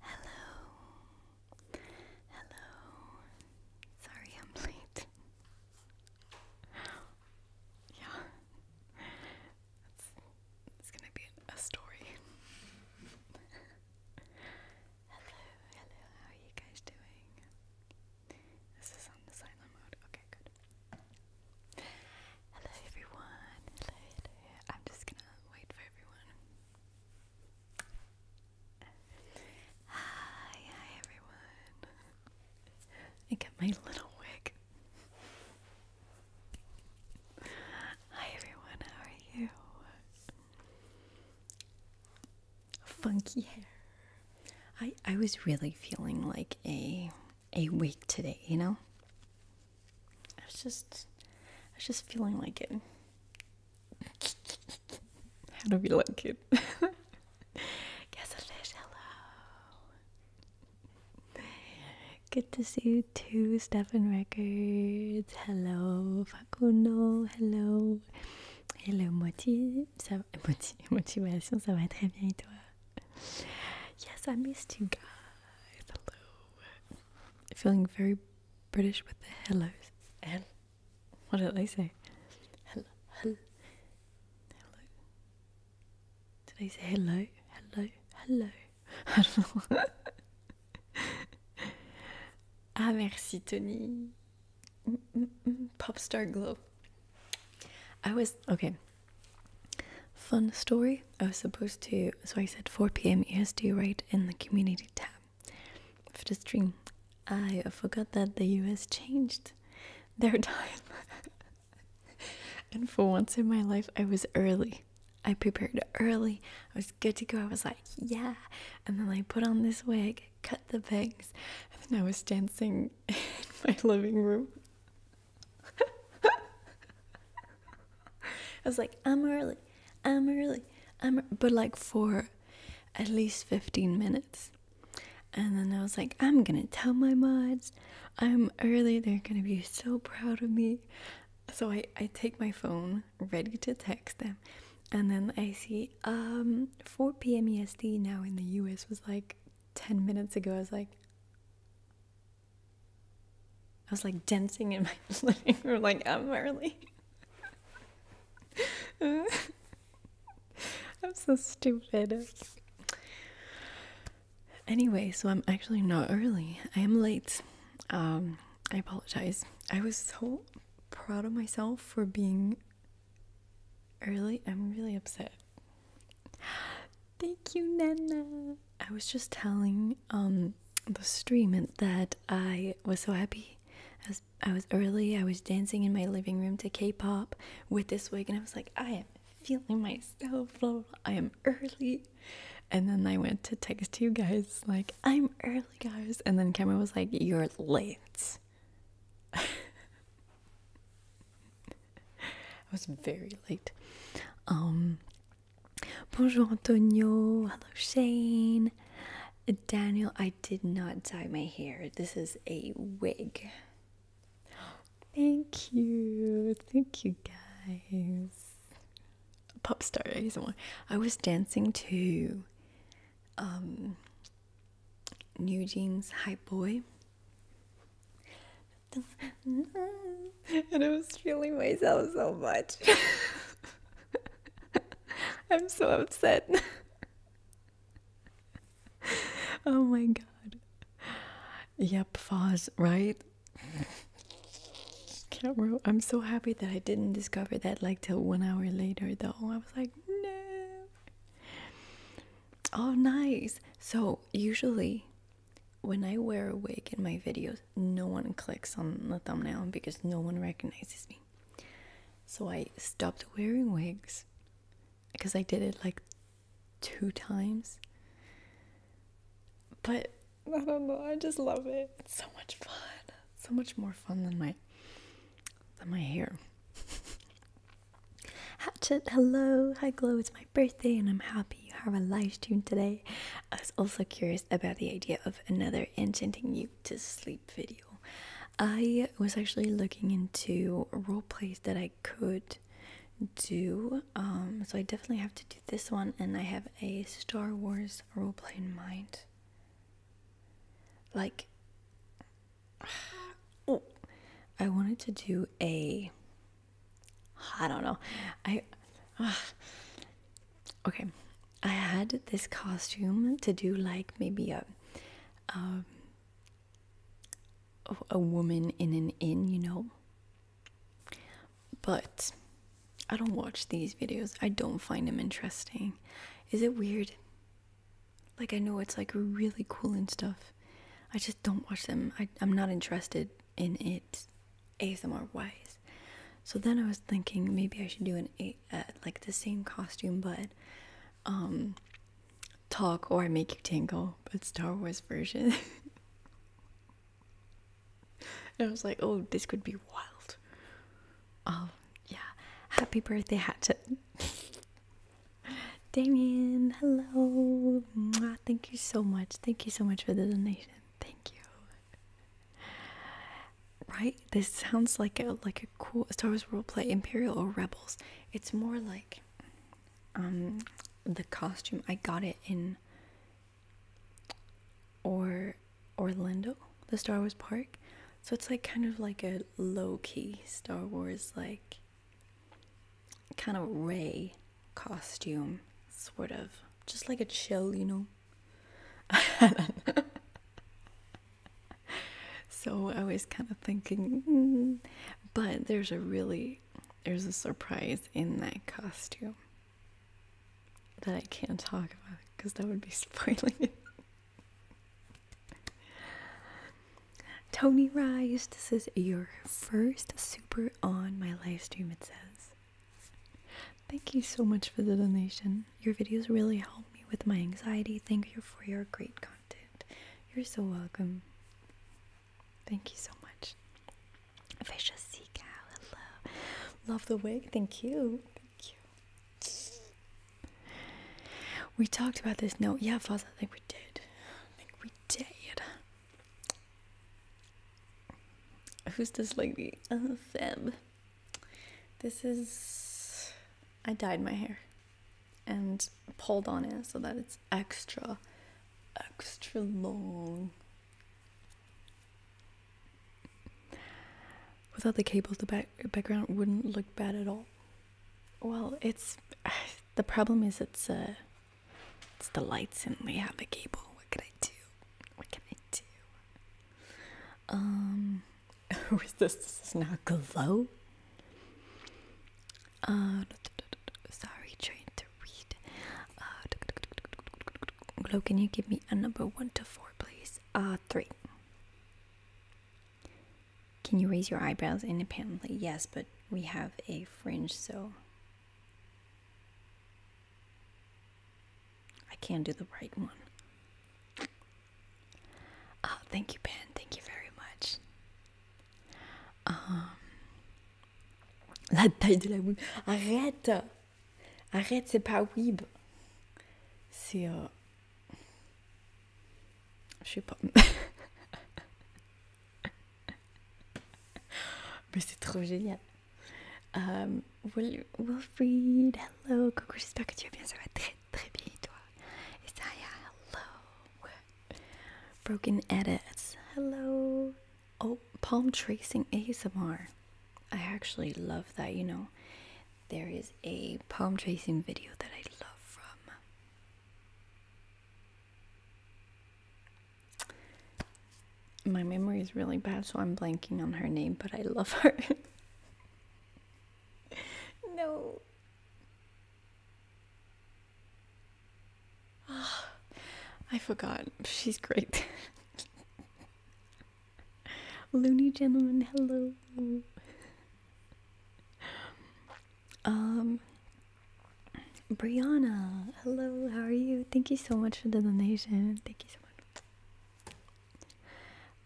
Hello. Hello. Sorry I'm late. yeah. it's gonna be a story. hello, hello, how are you guys doing? This is on the silent mode. Okay, good. Hello everyone. I'm just gonna wait for everyone. Hi, hi everyone. I get my little wig. Hi everyone, how are you? Funky hair. I I was really feeling like a a week today, you know? I was just I was just feeling like it. How do we like it? hello. Good to see you too, Stefan Records. Hello, Facundo. Hello. Hello, Moitié. Ça, Moitié, motivation, ça va très bien et toi? yes, I missed you guys. Hello. Feeling very British with the hellos. and What did they say? Hello. Hello. Hello. Did they say hello? Hello. Hello. I ah, merci, Tony. Mm, mm, mm. Pop star -mm. Glow. I was okay. Fun story. I was supposed to, so I said 4 pm EST, right, in the community tab for the stream. I forgot that the US changed their time. and for once in my life, I was early. I prepared early. I was good to go. I was like, yeah. And then I put on this wig, cut the bangs, and then I was dancing in my living room. I was like, I'm early, I'm early, I'm, but like for at least 15 minutes. And then I was like, I'm gonna tell my mods I'm early, they're gonna be so proud of me. So I, I take my phone ready to text them. And then I see um 4 p.m. EST now in the US was like 10 minutes ago. I was like, I was like dancing in my living room, like I'm early. I'm so stupid. Anyway, so I'm actually not early. I am late. Um, I apologize. I was so proud of myself for being early. I'm really upset. Thank you, Nana. I was just telling um the stream that I was so happy. I was, I was early. I was dancing in my living room to K-pop with this wig, and I was like, I am feeling myself. Blah, blah, I am early. And then I went to text you guys like, I'm early, guys. And then Cameron was like, You're late. I was very late. Um, bonjour, Antonio. Hello, Shane. Daniel, I did not dye my hair. This is a wig. Thank you. Thank you, guys. Pop star, someone. I was dancing to um, New Jeans Hype Boy. and I was killing myself so much. I'm so upset. oh my god. Yep, Foz, right? Camera. I'm so happy that I didn't discover that like till one hour later though. I was like, no. Oh, nice. So, usually when I wear a wig in my videos, no one clicks on the thumbnail because no one recognizes me. So I stopped wearing wigs because I did it like two times. But I don't know, I just love it. It's so much fun. So much more fun than my than my hair. Hatchet, hello, hi Glow, it's my birthday and I'm happy you have a live stream today. I was also curious about the idea of another enchanting you to sleep video. I was actually looking into role plays that I could do. Um, so I definitely have to do this one, and I have a Star Wars role play in mind. Like, oh, I wanted to do a I don't know. I ah. okay. I had this costume to do like maybe um, a a woman in an inn, you know. But I don't watch these videos. I don't find them interesting. Is it weird? Like I know it's like really cool and stuff. I just don't watch them. I, I'm not interested in it ASMR wise. So then I was thinking maybe I should do an a uh, like the same costume but um talk or I make you tingle but Star Wars version. and I was like, oh, this could be wild. Um, yeah. Happy birthday, Hatchet. Damien, hello thank you so much. Thank you so much for the donation. Thank you. Right? This sounds like a like a cool Star Wars role play, Imperial or Rebels. It's more like um the costume. I got it in or Orlando, the Star Wars park. So it's like kind of like a low key Star Wars like kind of Ray costume, sort of, just like a chill, you know. so I was kind of thinking, mm. but there's a really there's a surprise in that costume that I can't talk about because that would be spoiling it. Tony Rice, this is your first super on my live stream it says. Thank you so much for the donation. Your videos really help me with my anxiety. Thank you for your great content. You're so welcome. Thank you so much. vicious Sea Cow, hello. Love the wig. Thank you. Thank you. We talked about this. note. yeah, Faz, I think we did. I think we did. Who's this lady? Oh, Feb. This is. I dyed my hair and pulled on it so that it's extra, extra long. Without the cables, the back background wouldn't look bad at all. Well, it's the problem is it's uh, it's the lights and we have a cable. What can I do? What can I do? Um, who is this, this is not glow? Uh, sorry, trying to read. Uh, glow, can you give me a number one to four, please? Uh, three. Can you raise your eyebrows independently? Yes, but we have a fringe, so I can do the right one. Oh, thank you, Ben. Thank you very much. Um, la taille de la Wib. Arrête Arrête, c'est pas Wib. C'est. Euh, je sais pas. Mais c'est trop génial. Um, Will, Wilfried, hello. Coucou, j'espère que tu vas bien. Ça va très très Isaiah, hello. Broken edits, hello. Oh, palm tracing ASMR. I actually love that, you know. There is a palm tracing video that I love from my memory is really bad, so I'm blanking on her name, but I love her. no. I forgot. She's great. Loony gentleman, hello. Um Brianna, hello, how are you? Thank you so much for the donation. Thank you so much.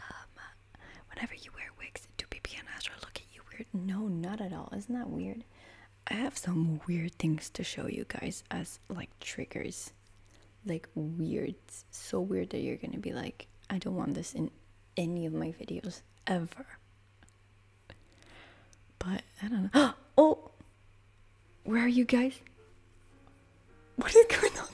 Um, whenever you wear wigs, do PP and Astro look at you weird? No, not at all. Isn't that weird? I have some weird things to show you guys as like triggers. Like weird, so weird that you're gonna be like, I don't want this in any of my videos ever. But I don't know. Oh, where are you guys? What is going on?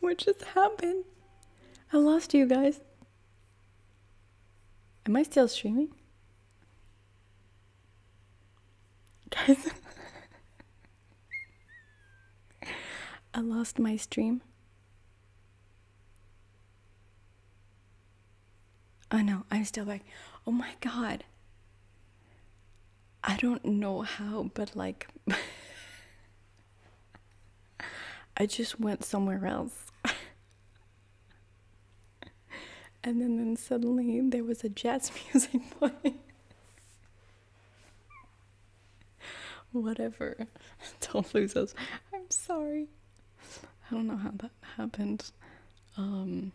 what just happened? I lost you guys. Am I still streaming? Guys. I lost my stream. Oh no, I'm still back. Oh my god. I don't know how, but like, I just went somewhere else. and then, then suddenly there was a jazz music playing. Whatever. Don't lose us. I'm sorry. I don't know how that happened. Um,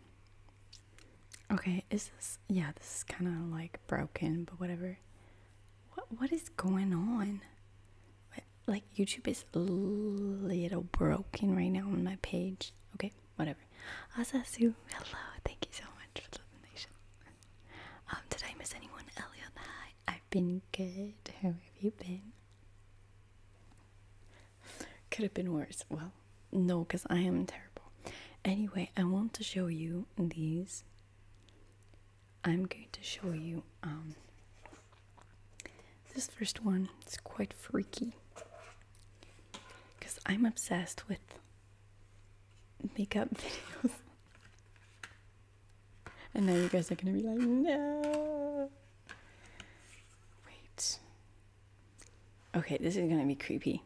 okay, is this yeah, this is kinda like broken, but whatever. What what is going on? Like YouTube is a little broken right now on my page. Okay, whatever. Asasu, hello, thank you so much for the donation. Um, did I miss anyone? Elliot, hi. I been good. How have you been? Could have been worse. Well, no, because I am terrible. Anyway, I want to show you these. I'm going to show you um this first one is quite freaky because I'm obsessed with makeup videos. And now you guys are going to be like, no. Wait. Okay, this is going to be creepy.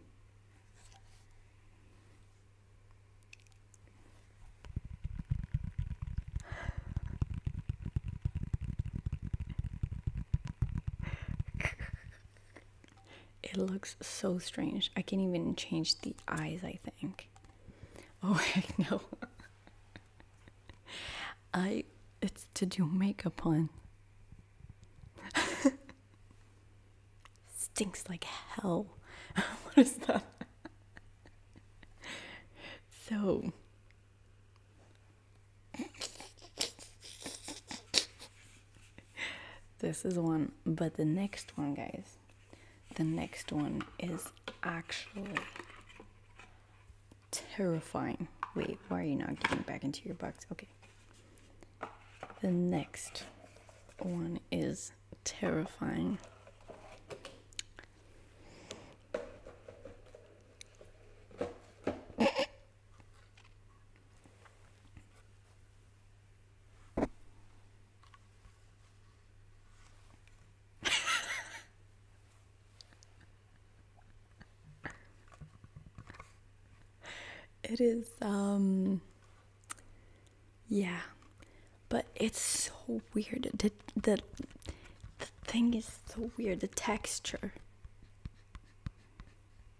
it looks so strange. I can not even change the eyes, I think. Oh, no. I it's to do makeup on. Stinks like hell. what is that? so this is one, but the next one, guys, the next one is actually terrifying. Wait, why are you not getting back into your box? Okay. The next one is terrifying. it is um yeah but it's so weird the, the thing is so weird the texture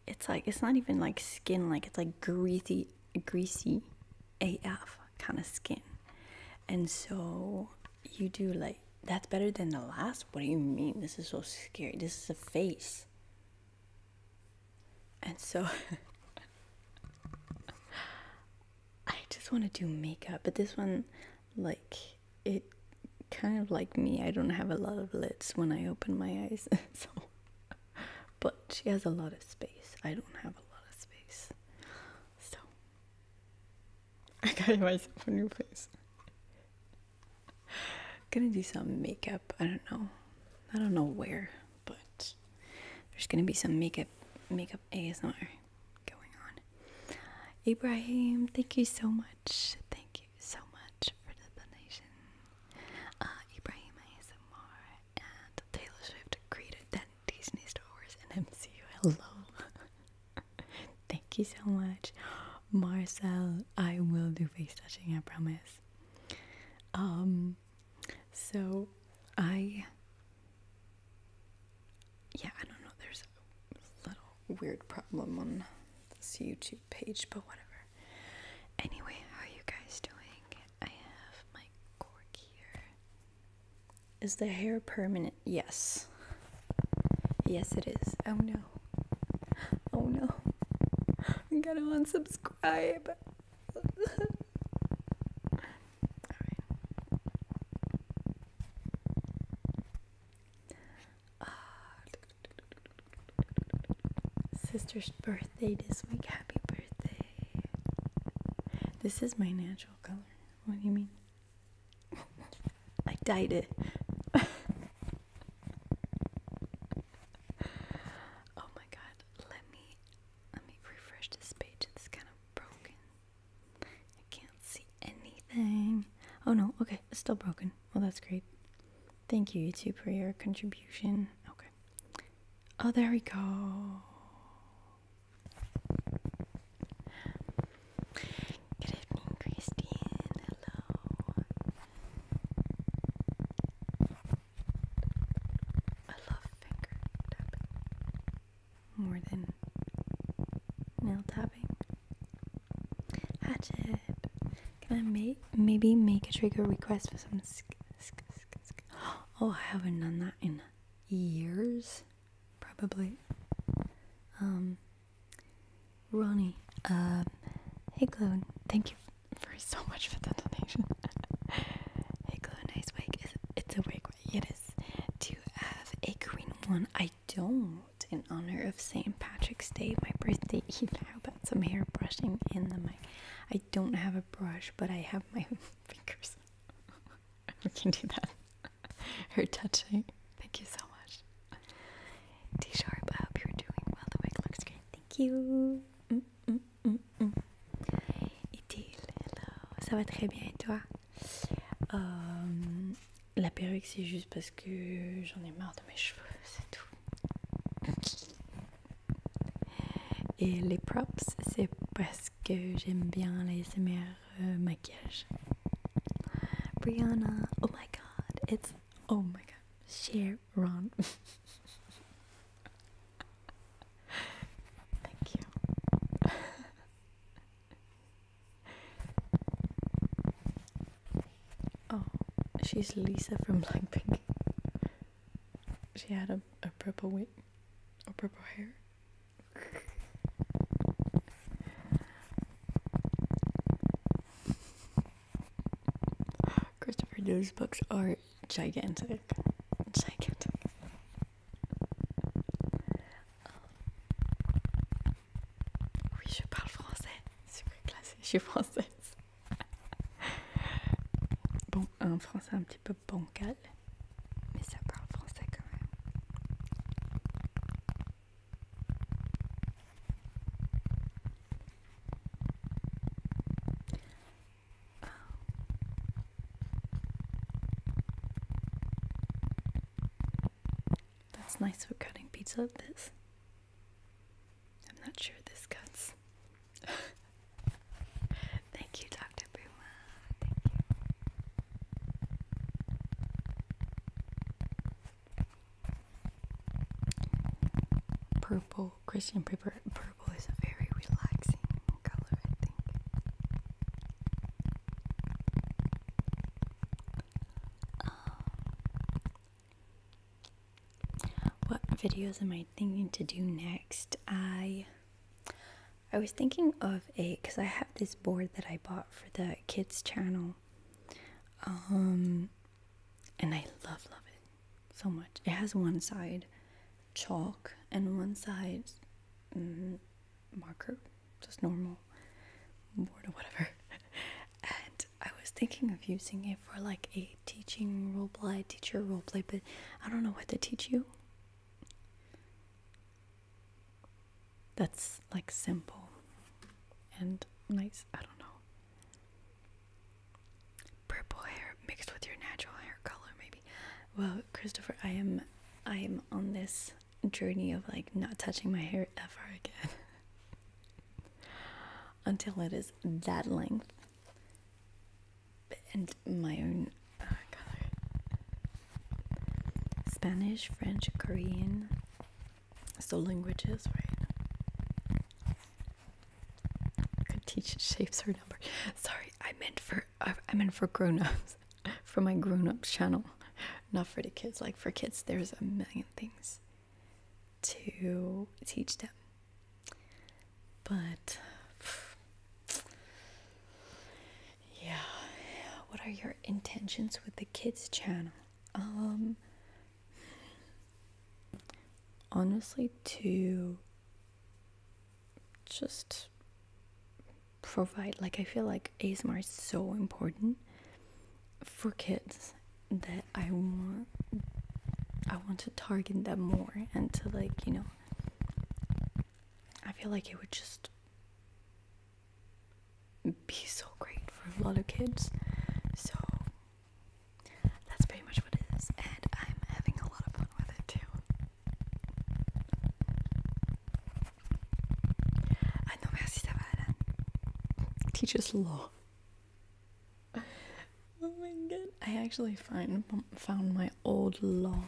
it's like it's not even like skin like it's like greasy greasy af kind of skin and so you do like that's better than the last what do you mean this is so scary this is a face and so i just want to do makeup but this one like it kind of like me i don't have a lot of lids when i open my eyes so but she has a lot of space i don't have a lot of space so I got myself a new face. gonna do some makeup. I don't know. I don't know where, but there's gonna be some makeup makeup ASMR going on. Abraham, thank you so much. Thank you so much for the donation. Uh, Ibrahim ASMR and Taylor Swift created that Disney Star Wars and MCU. Hello. Thank you so much. Marcel, I will do face touching, I promise. Um so I yeah, I don't know, there's a little weird problem on this YouTube page, but whatever. Anyway, how are you guys doing? I have my cork here. Is the hair permanent? Yes. Yes, it is. Oh no. Oh no. I am going to unsubscribe. sister's birthday this week. Happy birthday. This is my natural color. What do you mean? I died it. oh my god, let me let me refresh this page. It's kind of broken. I can't see anything. Oh no, okay, it's still broken. Well that's great. Thank you YouTube for your contribution. Okay. Oh there we go. Good evening, Christine. Hello. I love finger tapping more than nail tapping. Hatched. Can I make maybe make a trigger request for some? Sk sk sk sk oh, I haven't done that in years probably. Um, Ronnie, uh, hey Clone, thank you for so much for the donation. hey Clone, nice wig. It's, a wig, right? It is. Do have a green one? I don't. In honor of St. Patrick's Day, my birthday Eve. How about some hair brushing in the mic? I don't have a brush, but I have my fingers. we can do that. Her touching. Thank you so much. T sharp, I hope you're doing well. The wig looks great. Thank you. Mm, mm, mm, mm. hello. Ça va très bien et toi euh, La perruque, c'est juste parce que j'en ai marre de mes cheveux, c'est tout. Et les props, c'est parce parce que j'aime bien les SMR euh, Brianna, oh my god, it's oh my god, Sharon. Thank you. oh, she's Lisa from Blackpink. She had a, a purple wig a purple hair. Christopher those books are gigantic. Gigantic. Um, oui, je parle français. Super classé, je suis française. Bon, un français un petit peu bancal. Oh. That's nice for cutting pizza. This, I'm not sure this cuts. Thank you, Dr. Boo. Purple Christian paper. Purple is a very relaxing color, I think. Um, what videos am I thinking to do next? I I was thinking of a because I have this board that I bought for the kids channel. Um and I love love it so much. It has one side chalk and one side mm, marker, just normal board or whatever. and I was thinking of using it for like a teaching role roleplay, teacher play, but I don't know what to teach you that's like simple and nice. I don't know. Purple hair mixed with your natural hair color, maybe. Well, Christopher, I am, I am on this journey of like not touching my hair ever again until it is that length and my own uh, color. Spanish, French, Korean. So languages, right? Could teach shapes or numbers. Sorry, I meant for I meant for grown-ups, for my grown-ups channel, not for the kids. Like for kids, there's a million things to teach them. But yeah what are your intentions with the kids channel um, honestly to just provide like i feel like asmr is so important for kids that i want i want to target them more and to like you know i feel like it would just be so great for a lot of kids. So that's pretty much what it is, and I'm having a lot of fun with it too. Ah non, merci, ça va, Alan. Teach us law. Oh my god, I actually find, found my old law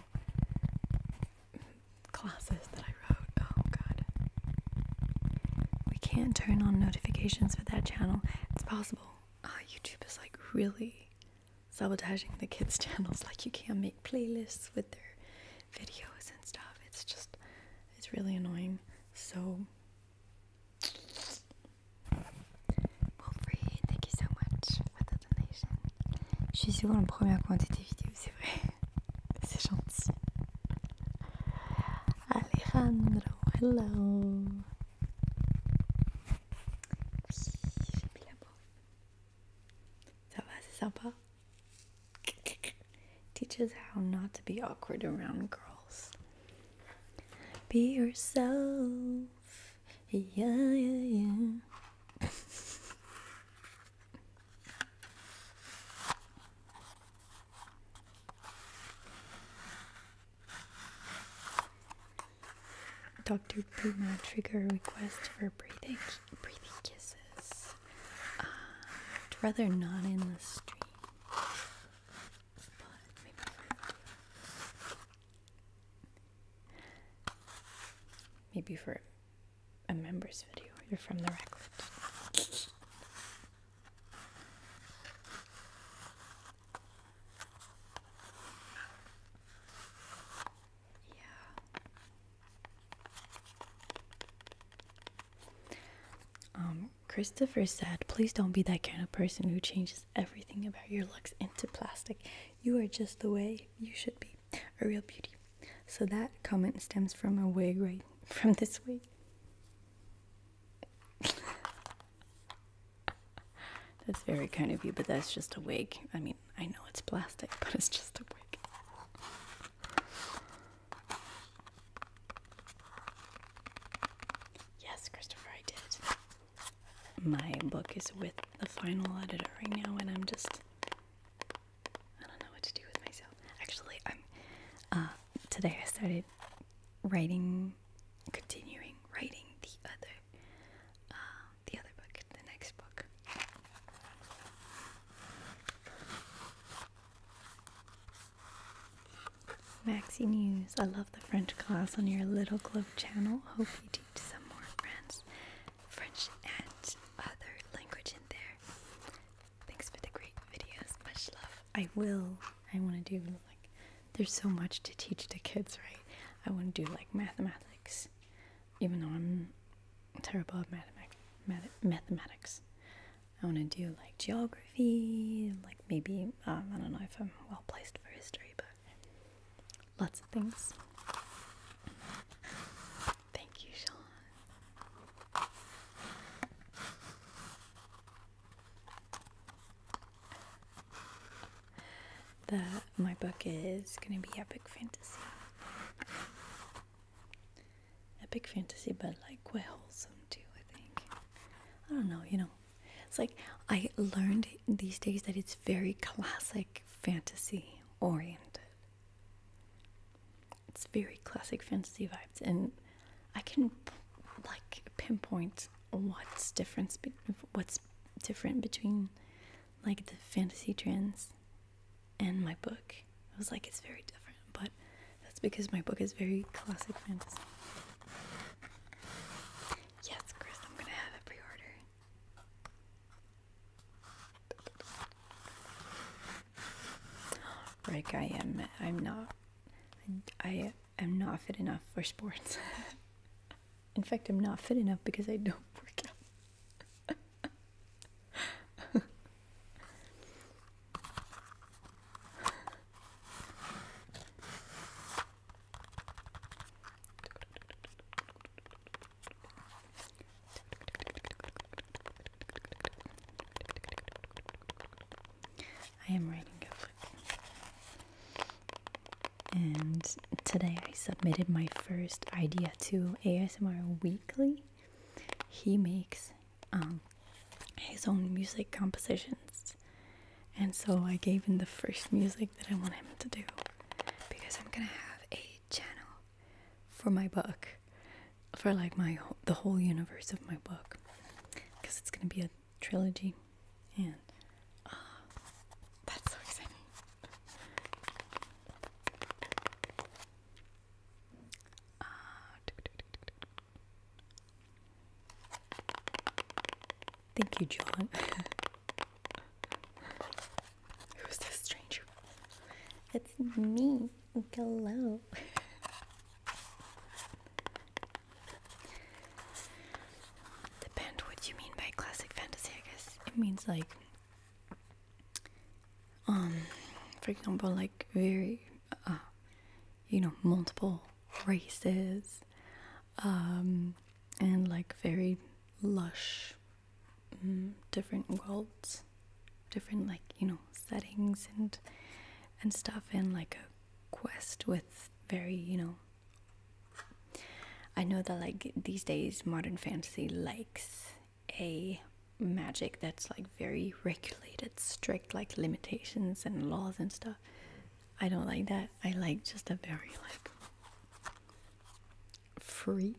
classes that I wrote. Oh god. We can't turn on notifications for that channel. It's possible. Uh, YouTube is like really sabotaging the kids' channels. Like you can't make playlists with their videos and stuff. It's just it's really annoying. So Wolfrey, thank you so much for the donation. Je suis sur la première quantité vidéo, c'est vrai. Alejandro, hello. Oui, j'ai mis la Teaches how not to be awkward around girls. Be yourself. Yeah, yeah, yeah. Dr. Puma trigger request for breathing, breathing kisses. Uh, I'd rather not in the street, but maybe for a members video. You're from the records. Yeah. Um, Christopher said, please don't be that kind of person who changes everything about your looks into plastic. You are just the way you should be. A real beauty. So that comment stems from a wig, right? From this wig. that's very kind of you, but that's just a wig. I mean, I know it's plastic, but it's just a wig. Yes, Christopher, I did. My book is with the final editor right now, and I'm just I don't know what to do with myself. Actually, I'm uh, today I started writing, continuing writing the other, uh, the other book, the next book. Maxi News, I love the French class on your Little Globe channel. Hope you teach some more friends French and other language in there. Thanks for the great videos. Much love. I will. I want to do like, there's so much to teach the kids, right? I want to do like mathematics, even though I'm terrible at mathematics. Math mathematics. I want to do like geography, like maybe, um, I don't know if I'm well placed for history, but lots of things. Thank you, Sean. The my book is gonna be epic fantasy. Epic fantasy, but like quite wholesome too, I think. I don't know, you know. It's like I learned these days that it's very classic fantasy oriented. It's very classic fantasy vibes, and I can like pinpoint what's different. be what's different between like the fantasy trends and my book. I was like, it's very different, but that's because my book is very classic fantasy. Yes, Chris, I'm gonna have a pre-order. Like I am, I'm not, I am not fit enough for sports. In fact, I'm not fit enough because I don't work out. I am writing a book. And today I submitted my first idea to ASMR Weekly. He makes um, his own music compositions. And so I gave him the first music that I want him to do because I'm gonna have a channel for my book for like my the whole universe of my book because it's going to be a trilogy and ah, that's so exciting uh, thank you john who's this stranger it's me Oh, hello. Depend what you mean by classic fantasy, I guess. It means like um for example like very uh, you know multiple races um and like very lush mm, different worlds different like you know settings and and stuff and like a quest with very you know i know that like these days modern fantasy likes a magic that's like very regulated strict like limitations and laws and stuff i don't like that i like just a very like free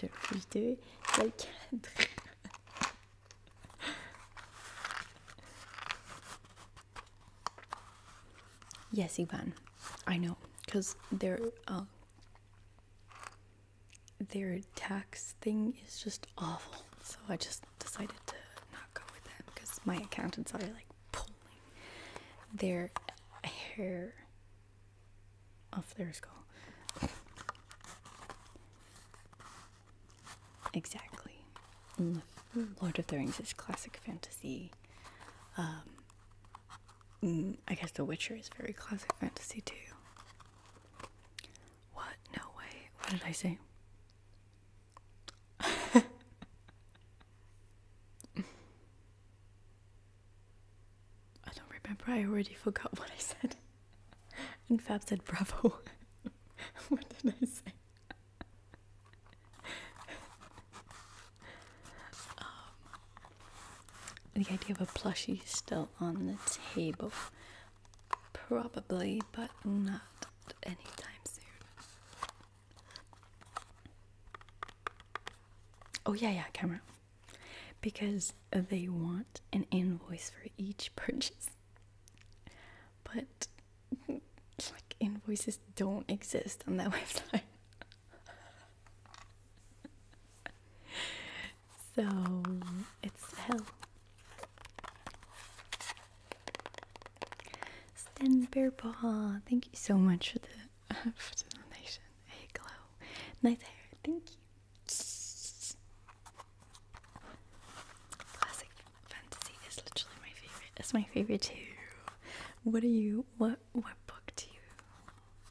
Deux Yes, Ivan. I know, cause their um, their tax thing is just awful. So I just decided to not go with them because my accountants are like pulling their hair off their skull. Exactly. Lord of the Rings is classic fantasy. Um, mm, I guess The Witcher is very classic fantasy too. What? No way. What did I say? I don't remember, I already forgot what I said. and Fab said, Bravo. what did I say? Um, the idea of a plushie still on the table. Probably, but not anytime soon. Oh, yeah, yeah, camera because they want an invoice for each purchase. But like invoices don't exist on that website. so it's hell. Stan Bear Paw, thank you so much for the, uh, for the donation. Hey, glow. Nice hair, thank you. Classic fantasy is literally my favorite. It's my favorite too. What are you? What what book do you?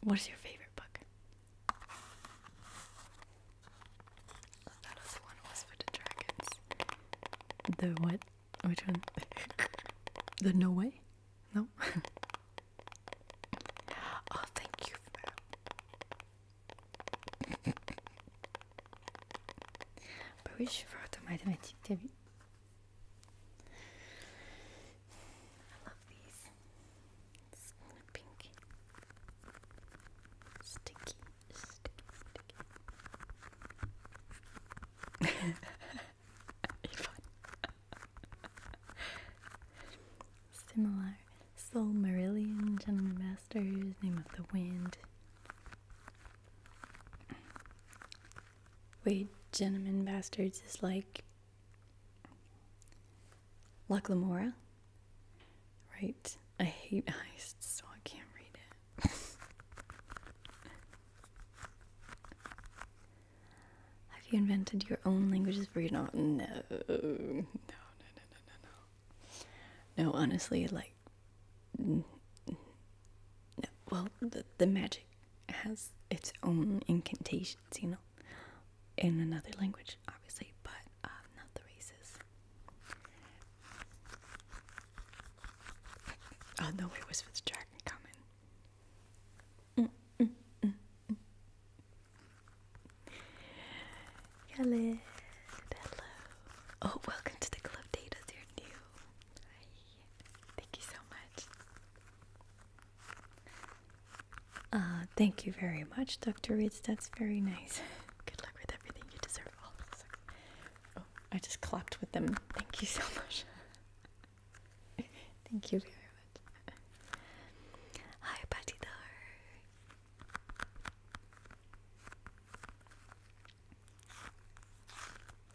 What is your favorite book? That other one was for the dragons. The what? Which one? the no way? No. Oh, thank you for that. I love these. pink. Sticky, sticky, sticky. Similar. Soul Merillion, Gentleman Masters, Name of the Wind. Wait, Gentleman Bastards is like Laclamora, right? I hate heists, so I can't read it. Have you invented your own languages for you? No, no, no, no, no, no. No, No, honestly, like, no. Well, the, the magic has its own incantations, you know, in another language, obviously, but um, not the races. Oh no, it was for the dragon Khaled, hello. Oh, welcome to the club, Data. You're new. Hi. Thank you so much. Uh, thank you very much, Dr. Reeds. That's very nice. Good luck with everything. You deserve all this. Oh, I just clapped with them. Thank you so much. thank you very much. Hi, Patty Dar.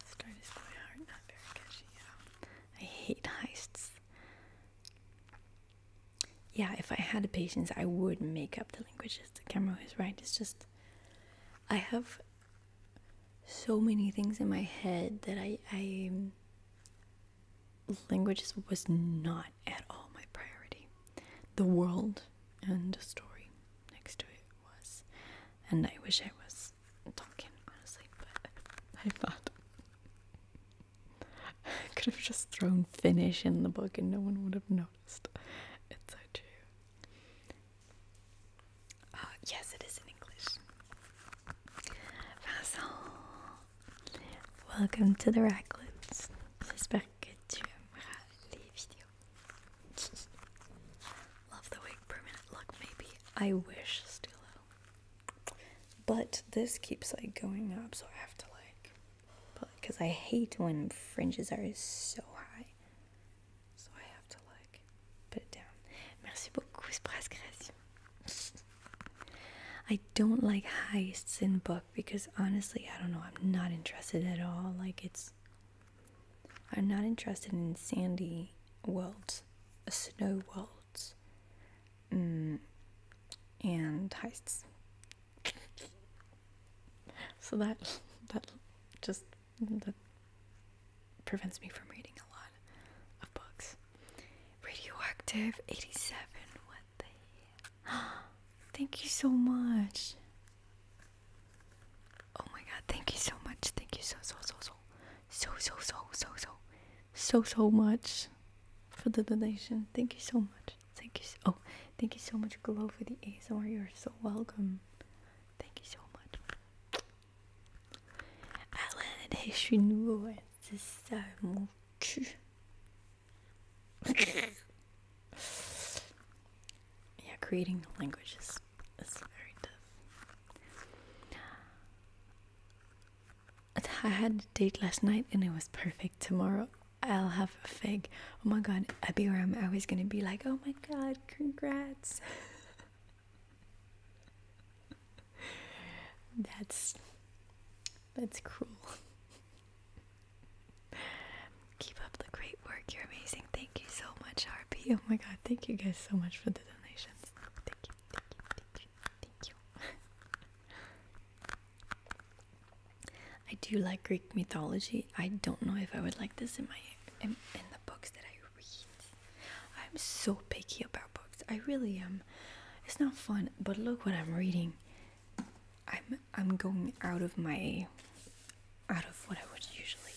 Start is quite hard, not very catchy. I hate heists. Yeah, if I had the patience, I would make up the languages. The camera is right. It's just I have so many things in my head that I I languages was not at all my priority. The world and the story next to it was. And I wish I was talking honestly, but I thought I could have just thrown Finnish in the book and no one would have noticed. It's so true. Uh, yes, it is in English. Vassal, Welcome to the Racklets. J'espère que tu aimeras Love the wig permanent look, maybe. I wish still. But this keeps like going up, so I have to like. Because I hate when fringes are so high. So I have to like put it down. Merci beaucoup, Express Création. I don't like heists in book because honestly, I don't know, I'm not interested at all. Like it's I'm not interested in sandy worlds, uh, snow worlds. Mm, and heists. so that that just that prevents me from reading a lot of books. Radioactive 87. What the hell? Thank you so much. Oh my god, thank you so much. Thank you so so so so so so so so so so so much for the donation. Thank you so much. Thank you so oh thank you so much Glow for the ASMR. You're so welcome. Thank you so much. Alors, je suis nouveau, c'est ça mon cul. yeah, creating the language is, very tough. I had a date last night and it was perfect. Tomorrow I'll have a fig. Oh my god, I be where I'm always gonna be like, oh my god, congrats. that's that's cruel. Keep up the great work. You're amazing. Thank you so much, Harpy. Oh my god, thank you guys so much for the donations. Thank you, thank you, thank you, thank you. I do like Greek mythology. I don't know if I would like this in my in, in the books that I read. I'm so picky about books. I really am. It's not fun, but look what I'm reading. I'm I'm going out of my out of what I would usually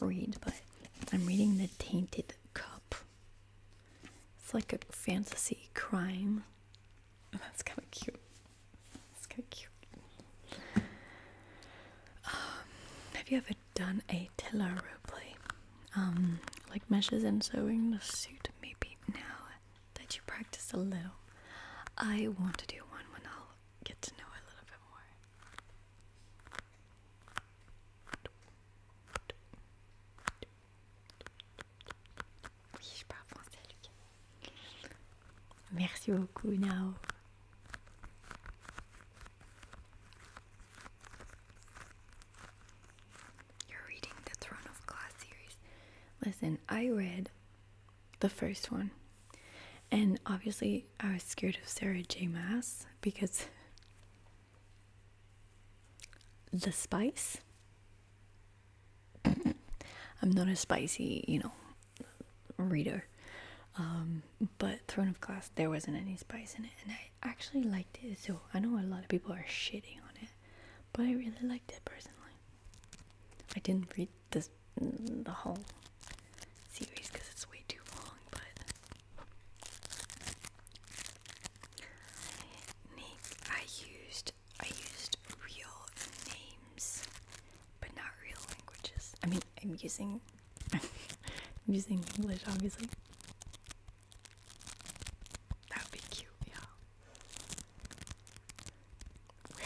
read, but I'm reading The Tainted Cup. It's like a fantasy crime. That's kind of cute. That's kind of cute. Um, have you ever done a Tiller roleplay? Um, like meshes and sewing the suit? Maybe now that you practice a little. I want to do one when I'll get to know a little bit more. Oui, je parle français, Merci beaucoup, Nao. You're reading the Throne of Glass series. Listen, I read the first one. And obviously, I was scared of Sarah J. Mass because the spice. I'm not a spicy, you know, reader. Um, but Throne of Glass, there wasn't any spice in it, and I actually liked it. So I know a lot of people are shitting on it, but I really liked it personally. I didn't read this the whole series because it's way too long, but I used I used real names, but not real languages. I mean, I'm using I'm using English, obviously. That would be cute, yeah.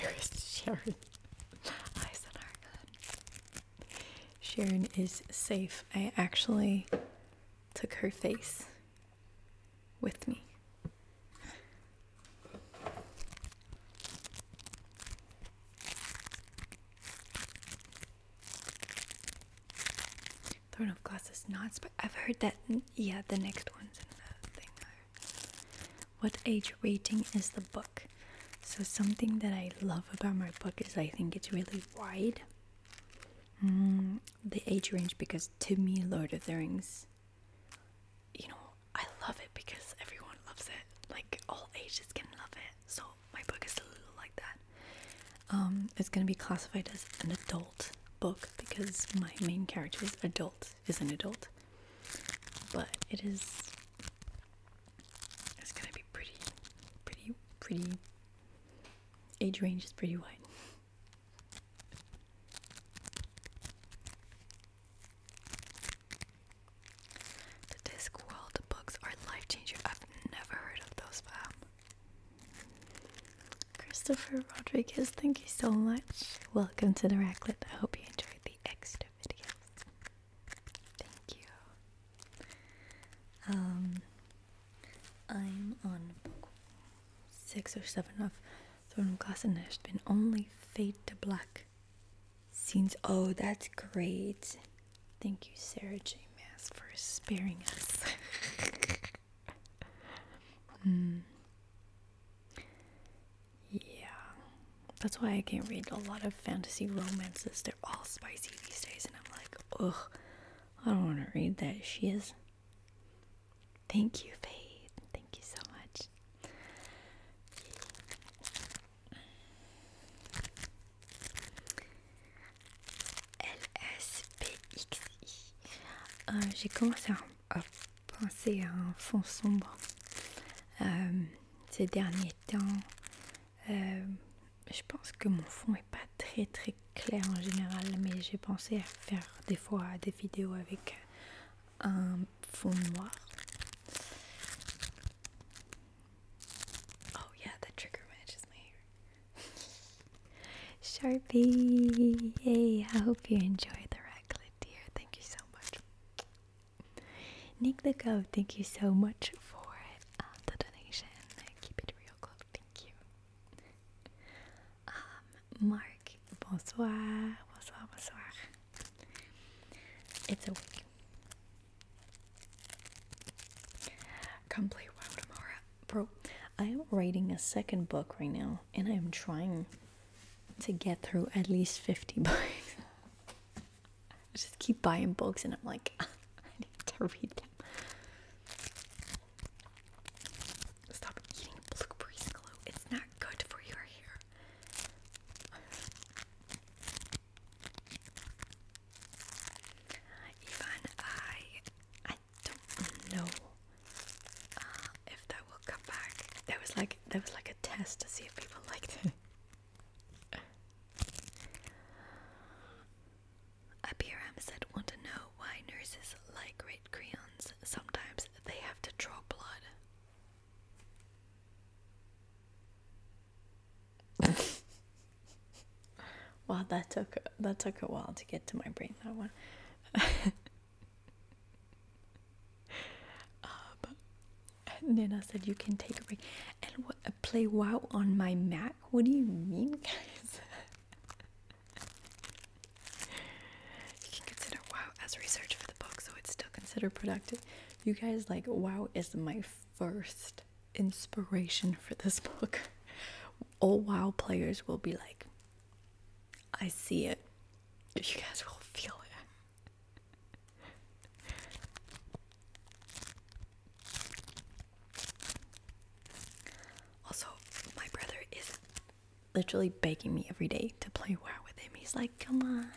Where is Sharon? Eyes on our Sharon is safe. I actually took her face with me. Throne of Glass is not but I've heard that. Yeah, the next one's in the thing. What age rating is the book? So, something that I love about my book is I think it's really wide. Mm, the age range, because to me, Lord of the Rings, you know, I love it because everyone loves it. Like, all ages can love it. So, my book is a little like that. Um, it's gonna be classified as an adult book because my main character is adult is an adult. But it is it's gonna be pretty pretty pretty age range is pretty wide. The Discworld books are life changers. I've never heard of those, Christopher Rodriguez, thank you so much. Welcome to the Racklet. I hope you enjoyed the extra video. Thank you. Um, I'm on six or seven of Throne of Glass, and there's been only Fade to Black scenes. Oh, that's great. Thank you, Sarah J. Mass, for sparing us. Yeah, that's why I can't read a lot of fantasy romances. They're all spicy these days, and I'm like, ugh, I don't want to read that. She is. Thank you, Faith. Thank you so much. LSPXI. Euh, j'ai commencé penser à un fond sombre euh, ces derniers temps. Euh, je pense que mon fond est pas très très clair en général, mais j'ai pensé à faire des fois des vidéos avec un fond noir. Oh yeah, the trigger matches my Sharpie! Hey, I hope you enjoy the raclet, dear. Thank you so much. Nick the Go, thank you so much for uh, the donation. Keep it real close, thank you. Um, Mark, bonsoir, bonsoir, bonsoir. It's a week. Come play WoW tomorrow, bro. I am writing a second book right now, and I am trying to get through at least 50 books. I just keep buying books, and I'm like, I need to read them. Stop eating blueberries, glue. It's not good for your hair. Even I, I don't know uh, if that will come back. There was like there was like a test to see if people liked it. Abir said, "Want to know why nurses like red crayons? Sometimes they have to draw blood." wow, that took that took a while to get to my brain. That one. Um, Nina said, "You can take a break and uh, play WoW on my Mac." What do you mean, guys? you can consider WoW as research for the book, so it's still considered productive. You guys, like WoW, is my first inspiration for this book. All WoW players will be like, I see it. You guys will feel it. also, my brother is literally begging me every day to play WoW with him. He's like, "Come on,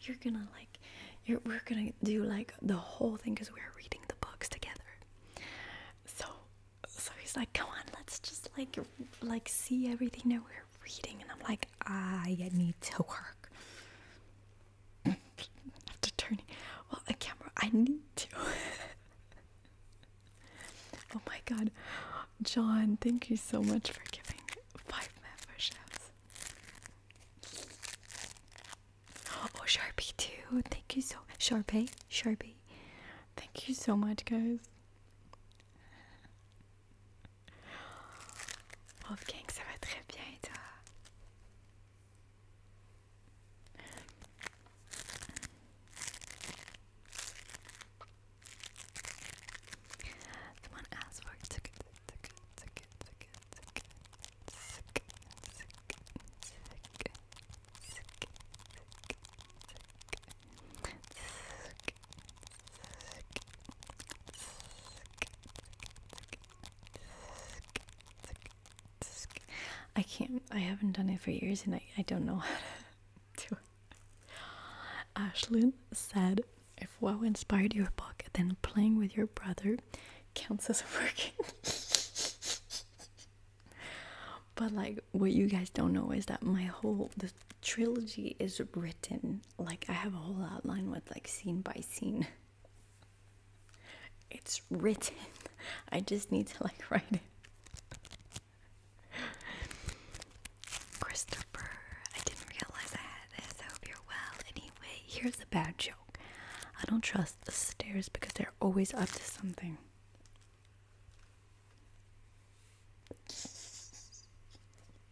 you're gonna like, you're we're gonna do like the whole thing because we're reading the books together." So so he's like, "Come on, let's just like like see everything that we're reading." And I'm like, "I need to work." After turning, well, the camera, I need to. oh my God, John, thank you so much for giving five memberships. Oh, Sharpie too. Thank you so Sharpie, Sharpie. Thank you so much, guys. Oh que ça va très bien toi I can't, I haven't done it for years and I, I don't know how to do it. Ashlyn said, if WoW inspired your book, then playing with your brother counts as working. But like what you guys don't know is that my whole the trilogy is written like I have a whole outline with like scene by scene. It's written. I just need to like write it. Christopher, I didn't realize I had this. I hope you're well. Anyway, here's a bad joke. I don't trust the stairs because they're always up to something.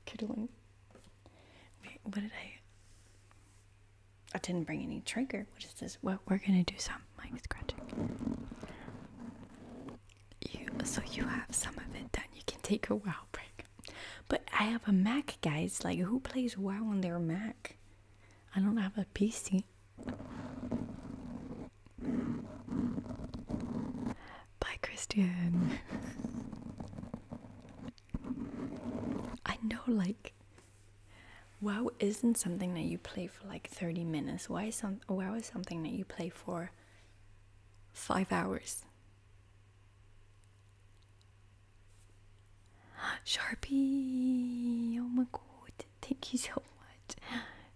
Could one. Wait, what did I? I didn't bring any trigger. What is this? What well, we're gonna do some mic scratching. You so you have some of it done. You can take a while break. But I have a Mac, guys. Like who plays WoW on their Mac? I don't have a PC. By Christian. I know, like, WoW isn't something that you play for like 30 minutes. Why is some WoW is something that you play for five hours? Sharpie! Oh my god, thank you so much.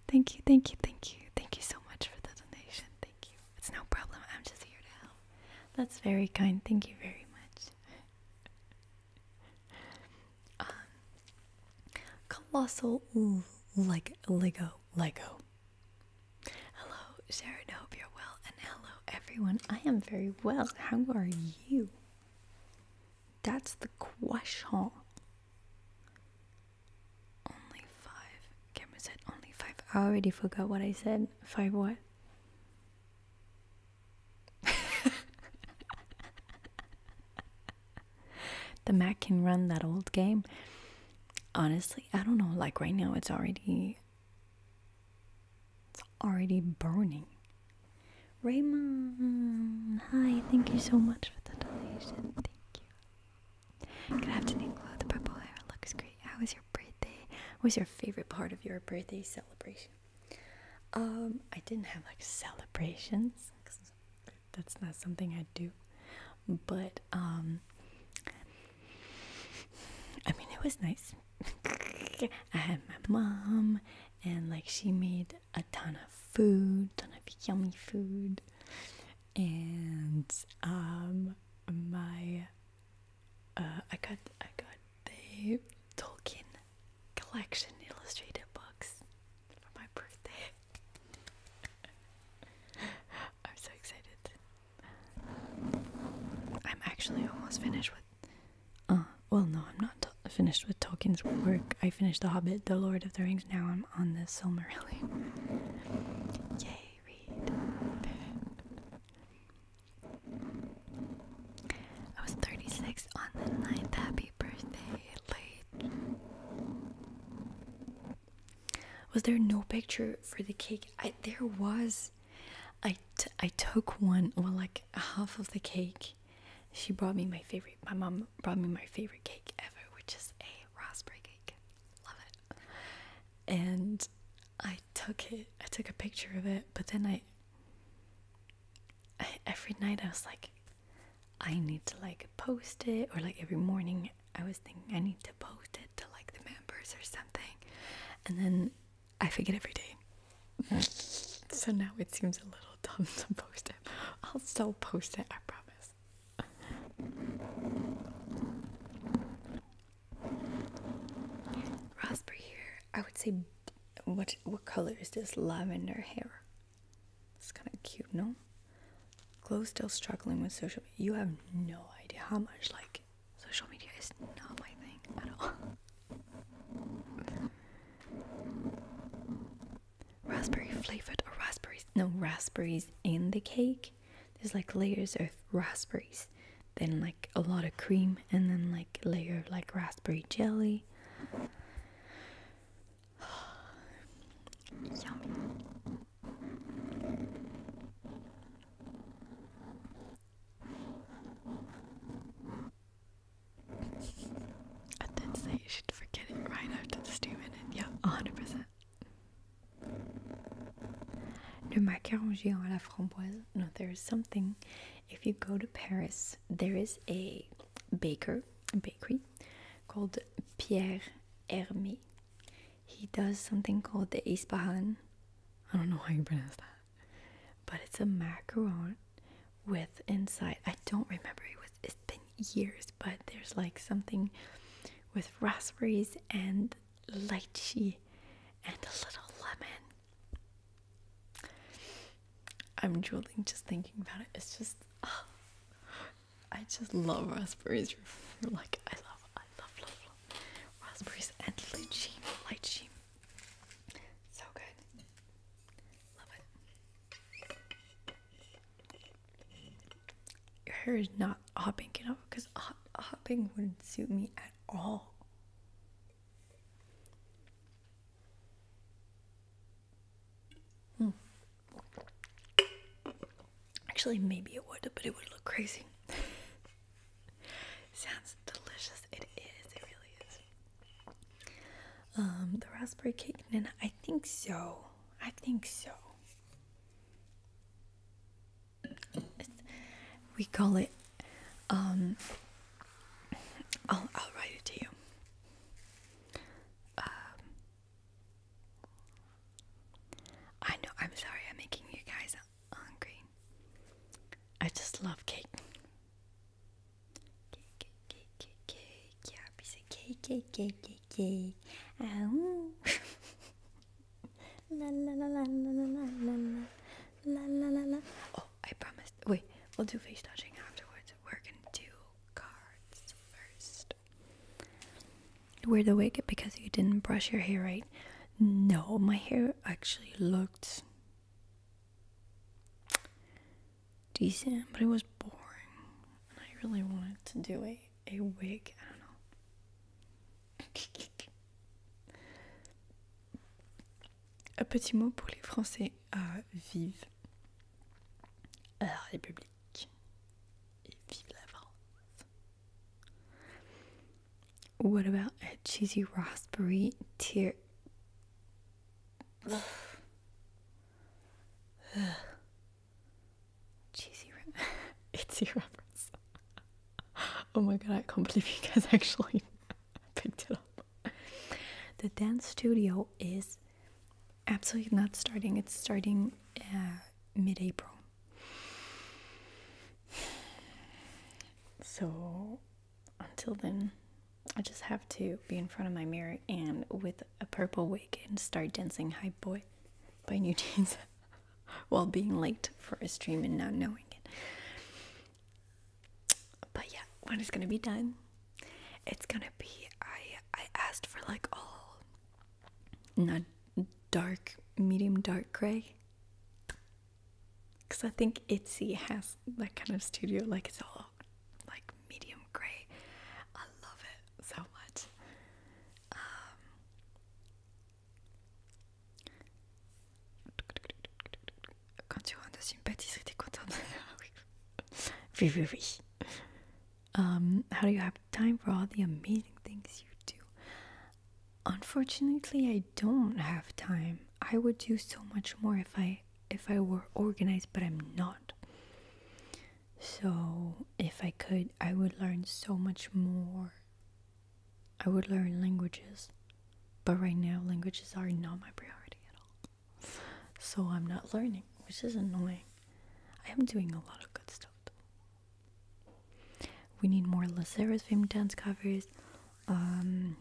Thank you, thank you, thank you. Thank you so much for the donation. Thank you. It's no problem. I'm just here to help. That's very kind. Thank you very much. Um, colossal Lego, Lego, Lego. Hello, Sharon. Hope you're well, and hello everyone. I am very well. How are you? That's the question. Only five. Cameron said only five. I already forgot what I said. Five what? the Mac can run that old game. Honestly, I don't know. Like right now, it's already. It's already burning. Raymond, hi, thank you so much for the donation. Thank you. Good afternoon, Chloe. The purple hair looks great. How was your birthday? What was your favorite part of your birthday celebration? Um, I didn't have like celebrations. That's not something I do. But um, I mean, it was nice. I had my mom, and like she made a ton of food, ton of yummy food, and um my uh I got I got the Tolkien collection illustrated books for my birthday. I'm so excited. I'm actually almost finished with uh well no, I'm not finished with Tolkien's work. I finished The Hobbit, The Lord of the Rings things now I'm on the Silmarillion. Yay, read. I was 36 on the 9th. Happy birthday, late. Was there no picture for the cake? there was. I took one, well, like half of the cake. She brought me my favorite, my mom brought me my favorite cake ever, which is a raspberry cake love it. And I took it, I took a picture of it, but then I, I every night I was like, I need to like post it, or like every morning I was thinking I need to post it to like the members or something, and then I forget every day. so now it seems a little dumb to post it. I'll still post it, I promise. Raspberry hair. I would say, what what color is this? Lavender hair. It's kind of cute, no? Glow still struggling with social. media. You have no idea how much like social media is not my thing at all. raspberry flavored or raspberries? No, raspberries in the cake. There's like layers of raspberries, then like a lot of cream, and then like layer of like raspberry jelly. Yummy. I did say you should forget it right after this two minute. Yeah, 100%. Le macaron géant à la framboise. No, there is something. If you go to Paris, there is a baker, bakery called Pierre Hermé. He does something called the Ispahan. I don't know how you pronounce that. But it's a macaron with inside. I don't remember it was years, but there's like something with raspberries and lychee and a little lemon. I'm drooling just thinking about it. It's just, I just love raspberries. Like I love, I love, love, love raspberries and lychee, lychee. So good. Love it. Your hair is not hopping it off because hopping wouldn't suit me at all. Hmm. Actually, maybe it would, but it would look crazy. Sounds delicious. It is. It really is. Um, the raspberry cake, and I think so. I think so we call it um, I'll, I'll write it to you um, I know I'm sorry I'm making you guys hungry I just love cake cake cake cake cake yeah piece cake cake cake cake cake oh La la la la la la la la la la la. Oh, I promised. Wait, we'll do face touching afterwards. We're gonna do cards first. Weird awake because you didn't brush your hair right. No, my hair actually looked decent, but it was boring, and I really wanted to do it. a wig. I don't know. Un petit mot pour les Français euh, vive la République et vive la France. What about a cheesy raspberry tear? cheesy re- reference. oh my god, I can't believe you guys actually picked it up. The dance studio is absolutely not starting. It's starting uh, mid-April. So until then, I just have to be in front of my mirror and with a purple wig and start dancing "Hype Boy" by New Jeans. while being late for a stream and not knowing it. But yeah, when it's gonna be done, it's gonna be. I I asked for like all not dark, medium dark gray, because I think Etsy has that kind of studio. Like it's all like medium gray. I love it so much. Um, Quand tu rentres dans une pâtisserie, t'es contente. oui, um, how do you have time for all the amazing things you do? Unfortunately, I don't have time. I would do so much more if I if I were organized, but I'm not. So, if I could, I would learn so much more. I would learn languages, but right now, languages are not my priority at all. So, I'm not learning, which is annoying. I am doing a lot of good stuff. Though. We need more Lazarus Fame dance covers. Um,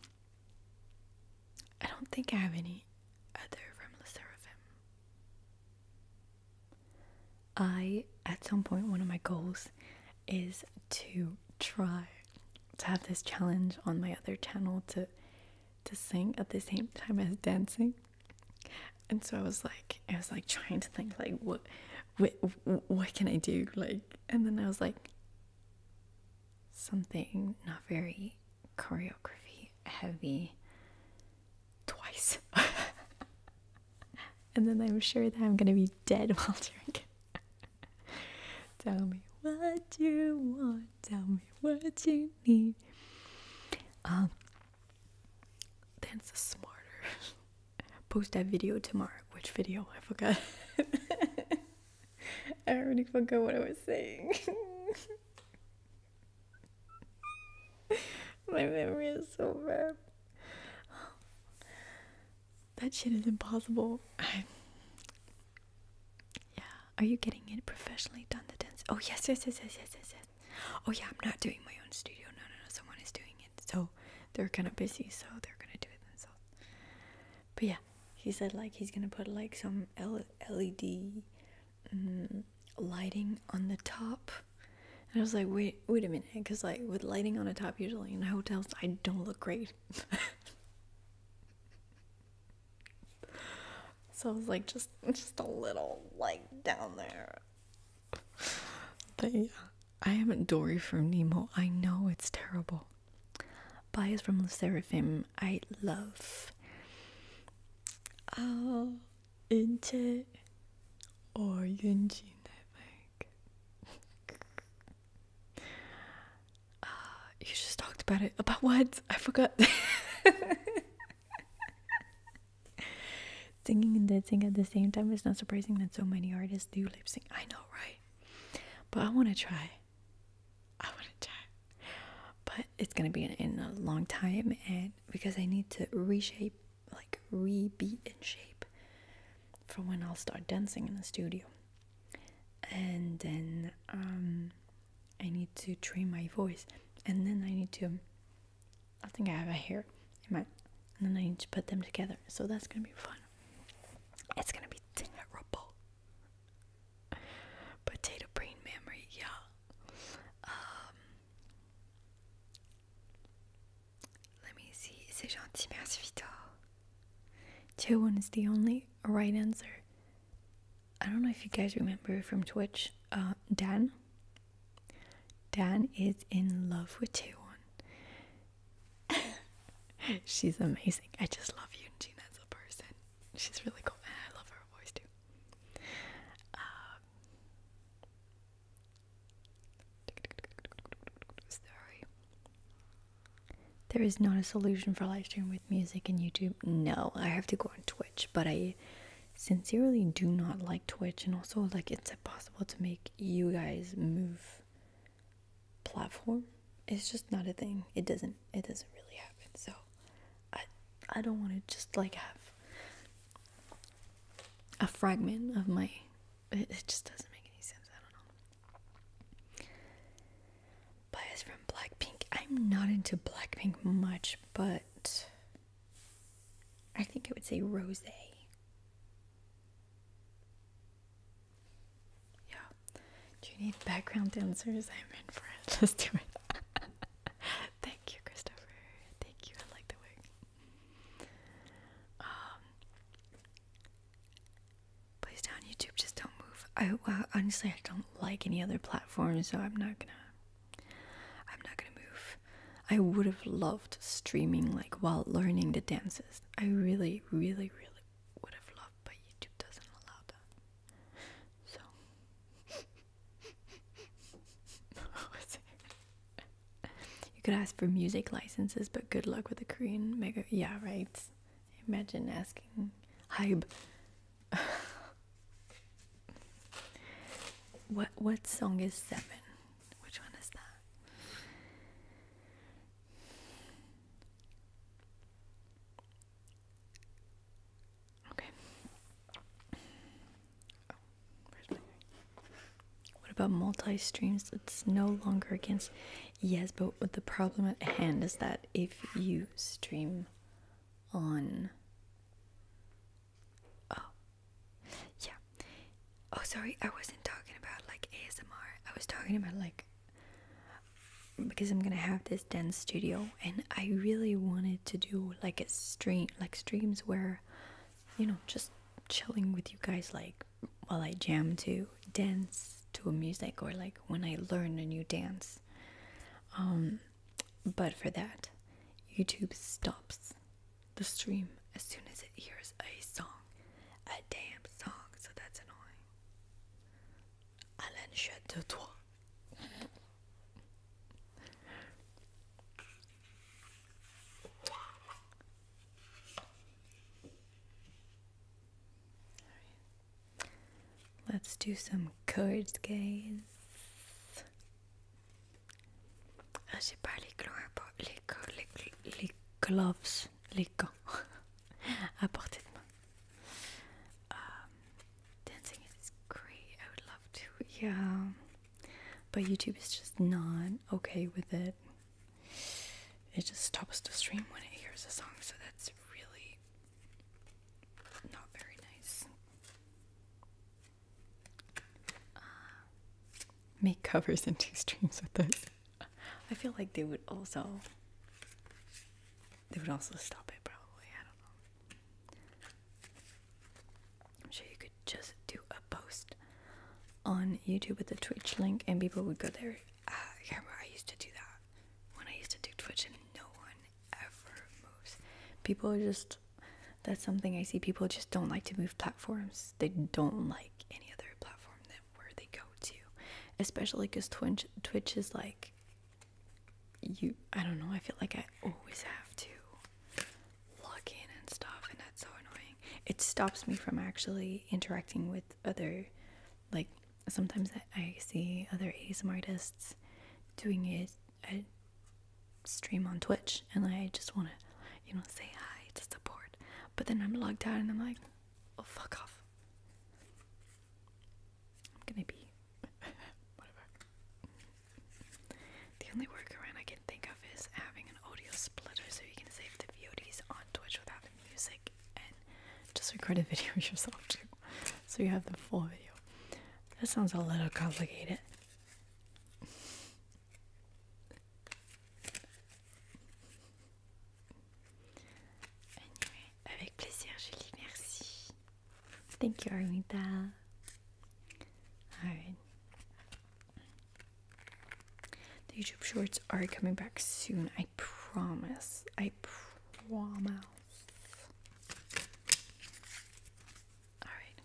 I don't think I have any other from La I, at some point, one of my goals is to try to have this challenge on my other channel to to sing at the same time as dancing. And so I was like, I was like trying to think like what, what, what can I do? Like, and then I was like, something not very choreography heavy twice. and then I'm sure that I'm gonna be dead while drinking. Tell me what you want, tell me what you need. Um dance is smarter. Post that video tomorrow. Which video? I forgot. I already forgot what I was saying. My memory is so bad. That shit is impossible. Yeah, are you getting it professionally done? The dance? Oh yes, yes, yes, yes, yes, yes, yes. Oh yeah, I'm not doing my own studio. No, no, no. Someone is doing it. So they're kind of busy, so they're gonna do it themselves. But yeah, he said like he's gonna put like some L LED mm, lighting on the top and I was like, wait, wait a minute, because like with lighting on a top, usually in hotels, I don't look great. so I was like, just, just a little like down there. But yeah, I am Dory from Nemo. I know it's terrible. Bias from the Seraphim. I love. Oh, into or Yunjin, I think. uh, ah, you just talked about it. About what? I forgot. Singing and dancing at the same time is not surprising that so many artists do lip sync. I know, right? But I want to try. I want to try. But it's going to be in a long time, and because I need to reshape like re-beat in shape for when I'll start dancing in the studio. And then um, I need to train my voice, and then I need to. I think I have a hair in my, and then I need to put them together. So that's gonna be fun. It's gonna be terrible. Potato brain memory, yeah. Um, let me see. C'est gentil, merci Vitor. Tier is the only right answer. I don't know if you guys remember from Twitch, uh, Dan. Dan is in love with Taewon. She's amazing. I just love you, Yoonjin as a person. She's really cool. And I love her voice too. Um, Sorry. There is not a solution for live stream with music and YouTube. No, I have to go on Twitch, but I sincerely do not like Twitch and also like it's impossible to make you guys move platform. It's just not a thing. It doesn't it doesn't really happen. So I I don't want to just like have a fragment of my it, just doesn't make any sense. I don't know. Bias from Blackpink. I'm not into Blackpink much, but I think I would say Rose. Yeah. Do you need background dancers? I'm in for it. Let's do it. Thank you, Christopher. Thank you. I like the work. Um, please down YouTube, just don't move. I honestly I don't like any other platform, so I'm not gonna. I'm not gonna move. I would have loved streaming like while learning the dances. I really, really, really would have loved, but YouTube doesn't allow that. So. You could ask for music licenses, but good luck with the Korean mega. Yeah, right. Imagine asking hype. what what song is seven? Which one is that? Okay. What about multi streams? It's no longer against. Yes, but the problem at hand is that if you stream on. Oh, yeah. Oh, sorry, I wasn't talking about like ASMR. I was talking about like. Because I'm gonna have this dance studio, and I really wanted to do like a stream, like streams where you know, just chilling with you guys like while I jam to dance to a music or like when I learn a new dance. Um, but for that, YouTube stops the stream as soon as it hears a song, a damn song, so that's annoying. Alain shut de toi. Let's do some chords, guys. Ah, j'ai pas les gants, les, les, les gloves, les gants à portée de main. Um, dancing is great. I would love to, yeah. But YouTube is just not okay with it it just stops the stream when it hears a song, so that's really not very nice. Uh, make covers into streams with this. I feel like they would also they would also stop it probably. I don't know. I'm sure you could just do a post on YouTube with a Twitch link and people would go there. Ah, I remember I used to do that when I used to do Twitch and no one ever moves. People are just, that's something I see. People just don't like to move platforms. They don't like any other platform that where they go to, especially because Twitch, Twitch is like, you, I don't know, I feel like I always have to log and stuff, and that's so annoying. It stops me from actually interacting with other, like, sometimes I see other ASM artists doing a stream on Twitch, and I just want to, you know, say hi to support, but then I'm logged out and I'm like, oh, fuck off. I'm gonna be. Whatever. The only workaround I can think of is having an audio splitter so you can save the VODs on Twitch without the music and just record a video yourself too. So you have the full video. That sounds a little complicated. Anyway, avec plaisir, Julie, merci. Thank you, Armita. Alright. The YouTube shorts are coming back soon. I promise. I promise. Alright.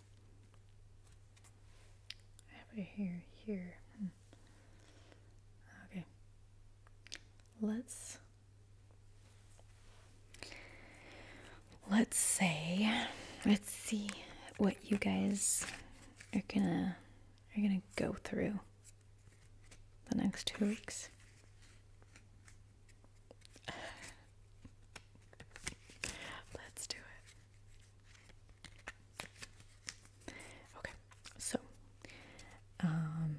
I have it here, here. Hmm. Okay. Let's. Let's say. Let's see what you guys are gonna are gonna go through the next two weeks. Let's do it. Okay, so um,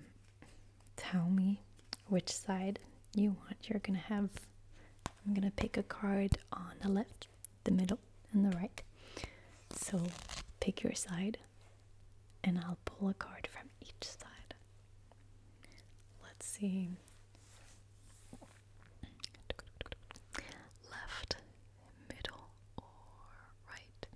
tell me which side you want. You're gonna have. I'm gonna pick a card on the left the middle, and the right. So pick your side, and I'll pull a card from each side. Let's see. Left, middle, or right.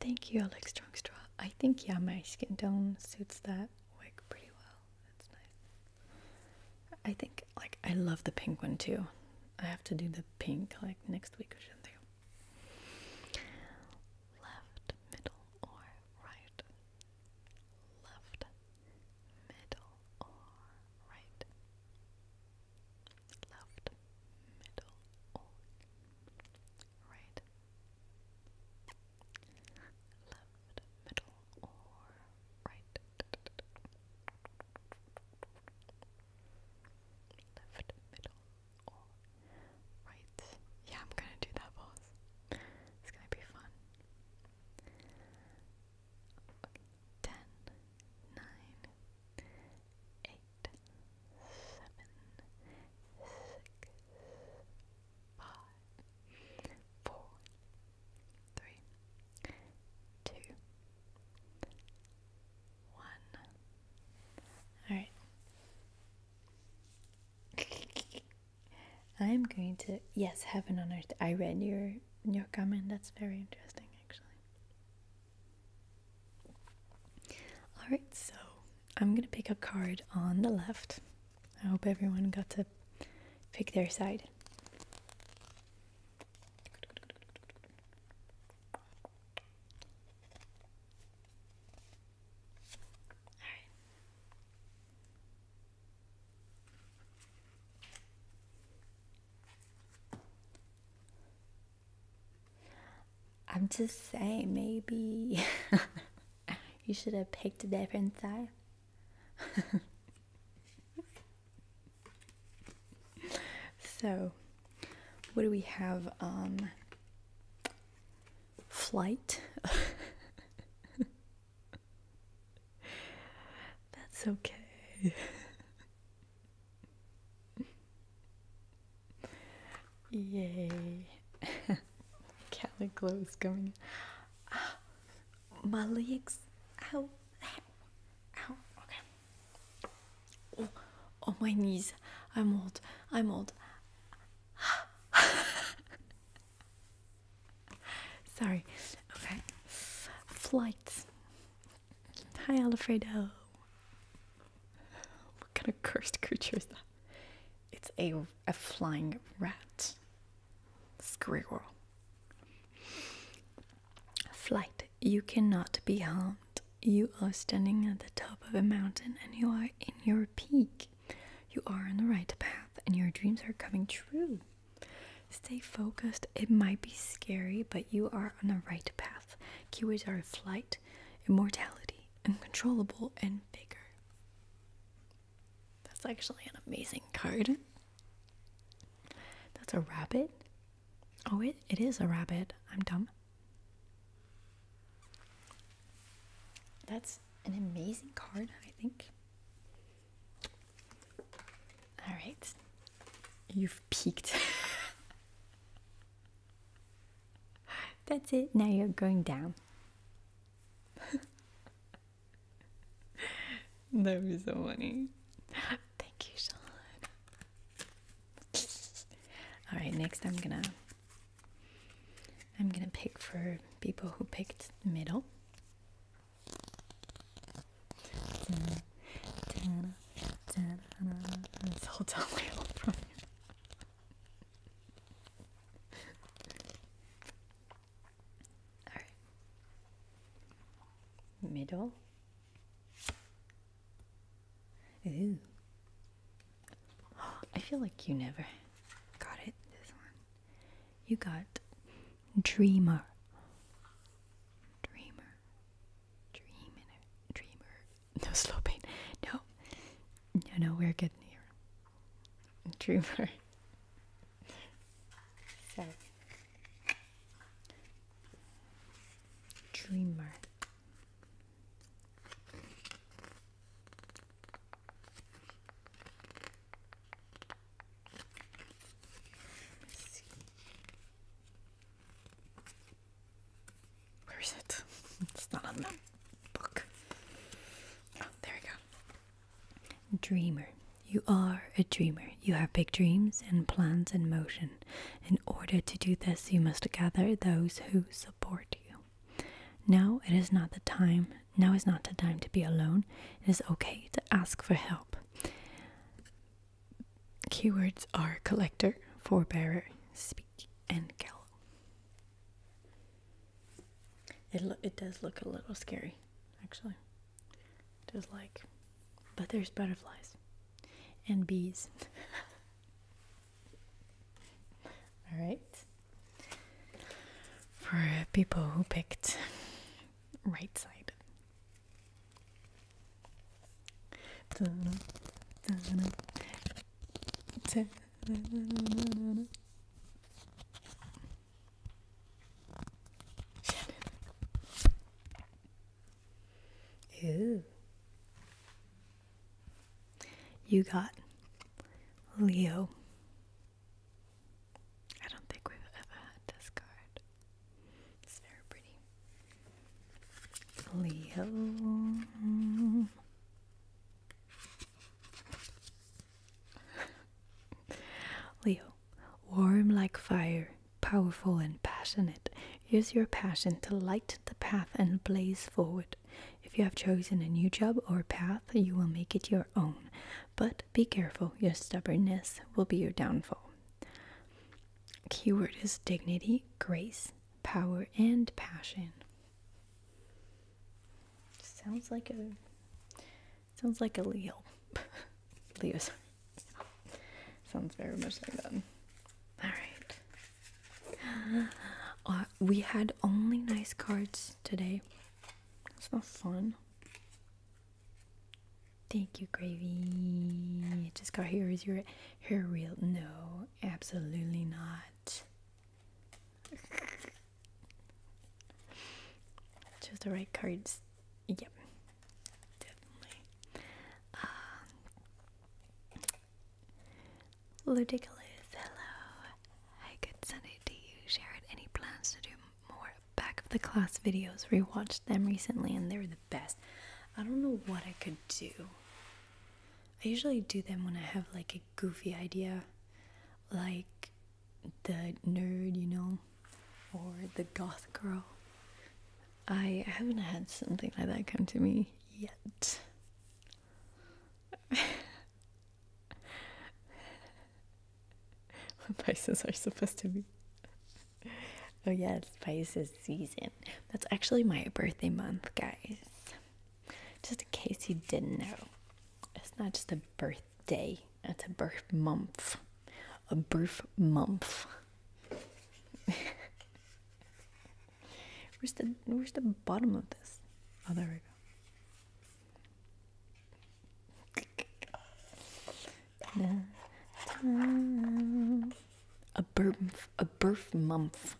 Thank you, Alex Strong Straw. I think, yeah, my skin tone suits that wig pretty well. That's nice. I think, like, I love the pink one too. I have to do the pink like next week or something. Left, middle, or right. Left, middle, or right. Left, middle, or right. Left, middle, or right left, middle, or right. Yeah, I'm gonna do that pause. It's gonna be fun. Okay. Ten, nine, eight, seven, six, five, four, three, two, one. Alright. I'm going to yes, heaven on earth. I read your your comment. That's very interesting actually. Alright, so I'm gonna pick a card on the left. I hope everyone got to pick their side. I'm just saying, maybe you should have picked a different side. so, what do we have? Um, flight. That's okay. Yay. Cali glow is coming. Ah, my legs. Ow. Ow. Okay. Oh, oh, my knees. I'm old. I'm old. Sorry. Okay. Flights. Hi, Alfredo. What kind of cursed creature is that? It's a, a flying rat. Squirrel. Flight. You cannot be harmed. You are standing at the top of a mountain and you are in your peak. You are on the right path and your dreams are coming true. Stay focused. It might be scary, but you are on the right path. Keywords are flight, immortality, uncontrollable, and vigor. That's actually an amazing card. That's a rabbit. Oh, it, it is a rabbit. I'm dumb. That's an amazing card, I think. All right. You've peaked. That's it. Now you're going down. that was be so funny. Thank you, Sean. All right, next I'm gonna I'm gonna pick for people who picked middle. middle. Ooh. I feel like you never got it, this one. You got dreamer. Dreamer. Dreamer. Dreamer. No slow pain. No. No, no, we're good here. Dreamer. Dreamer. Where is it? it's not on the book. Oh, there we go. Dreamer. You are a dreamer. You have big dreams and plans in motion. In order to do this, you must gather those who support you. Now it is not the time. Now is not the time to be alone. It is okay to ask for help. Keywords are collector, forbearer, speak, and gallow. It, it does look a little scary, actually. Just like, but there's butterflies and bees. All right. For people who picked right side. Ooh. You got Leo. I don't think we've ever had this card. It's pretty. Leo. Leo, warm like fire powerful and passionate. Use your passion to light the path and blaze forward. If you have chosen a new job or path, you will make it your own. But be careful, your stubbornness will be your downfall. Keyword is dignity, grace, power, and passion. Sounds like a sounds like a Leo. Leo's Sounds very much like that. Alright. we had only nice cards today. That's not fun. Thank you, Gravy. Just got here. Is your here real? No, absolutely not. Just the right cards. Yep definitely. Um, I could send it to you, Share it. Any plans to do more back of the class videos? Rewatched them recently and they're the best. I don't know what I could do. I usually do them when I have like a goofy idea, like the nerd, you know, or the goth girl. I haven't had something like that come to me yet. What Pisces are supposed to be. Oh yes, Pisces season. That's actually my birthday month, guys. Just in case you didn't know. It's not just a birthday, it's a birth month. A birth month. Where's the where's the bottom of this? Oh, there we go. a burf a birth month.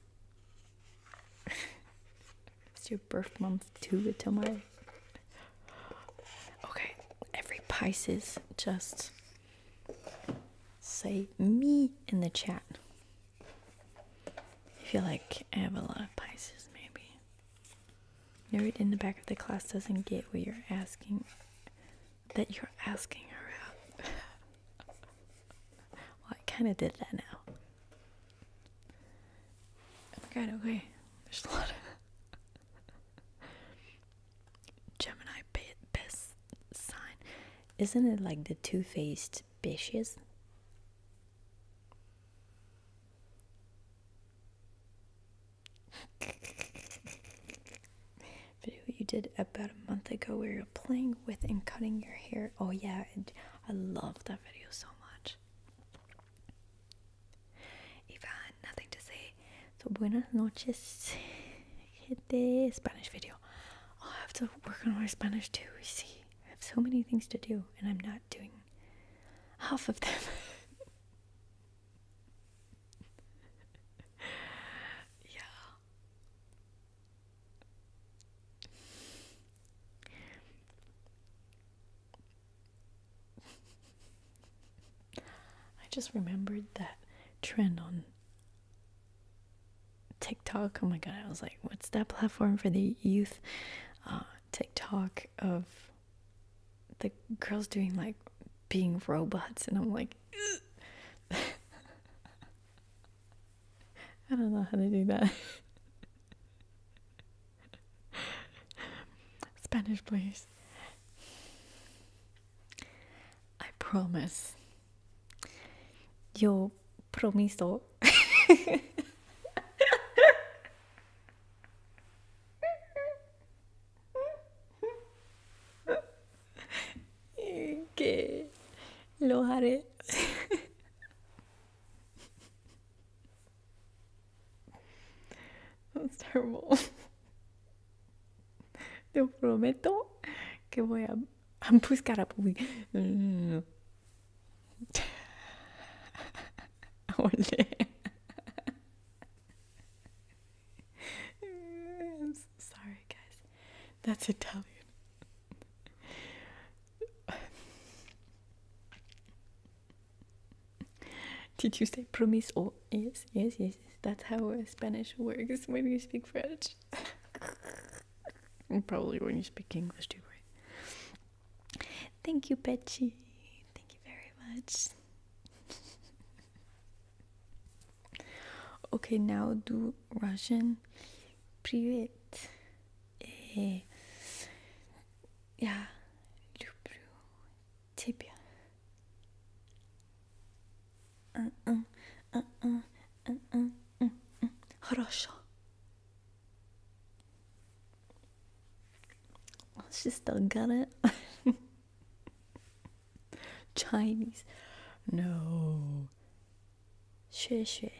Is your birth month too, Tamari? Okay, every Pisces just say me in the chat. I feel like I have a lot of Pisces, maybe. Nerd in the back of the class doesn't get what you're asking, that you're asking her out. well, I kind of did that now. Oh my god, okay. There's a lot of Gemini best sign. Isn't it like the two faced bitches? Video you did about a month ago where you're playing with and cutting your hair. Oh, yeah, I love that video so much. If nothing to say, so buenas noches. Hit the Spanish video. Oh, I have to work on my Spanish too. see, I have so many things to do, and I'm not doing half of them. yeah. I just remembered that trend on TikTok. Oh my god, I was like, what's that platform for the youth? Uh, TikTok of the girls doing like being robots, and I'm like, I don't know how to do that. Spanish, please. I promise Yo promiso. que lo haré. That's terrible. Te prometo que voy a, buscar a I'm so sorry, guys. That's Italian. Did you say promise? Oh, yes, yes, yes. That's how Spanish works when you speak French. Probably when you speak English too, right? Thank you, Petchy. Thank you very much. okay, now do Russian. Привет. Yeah. Э, люблю тебя. Хорошо. She still got it. Chinese. No. Xue xue.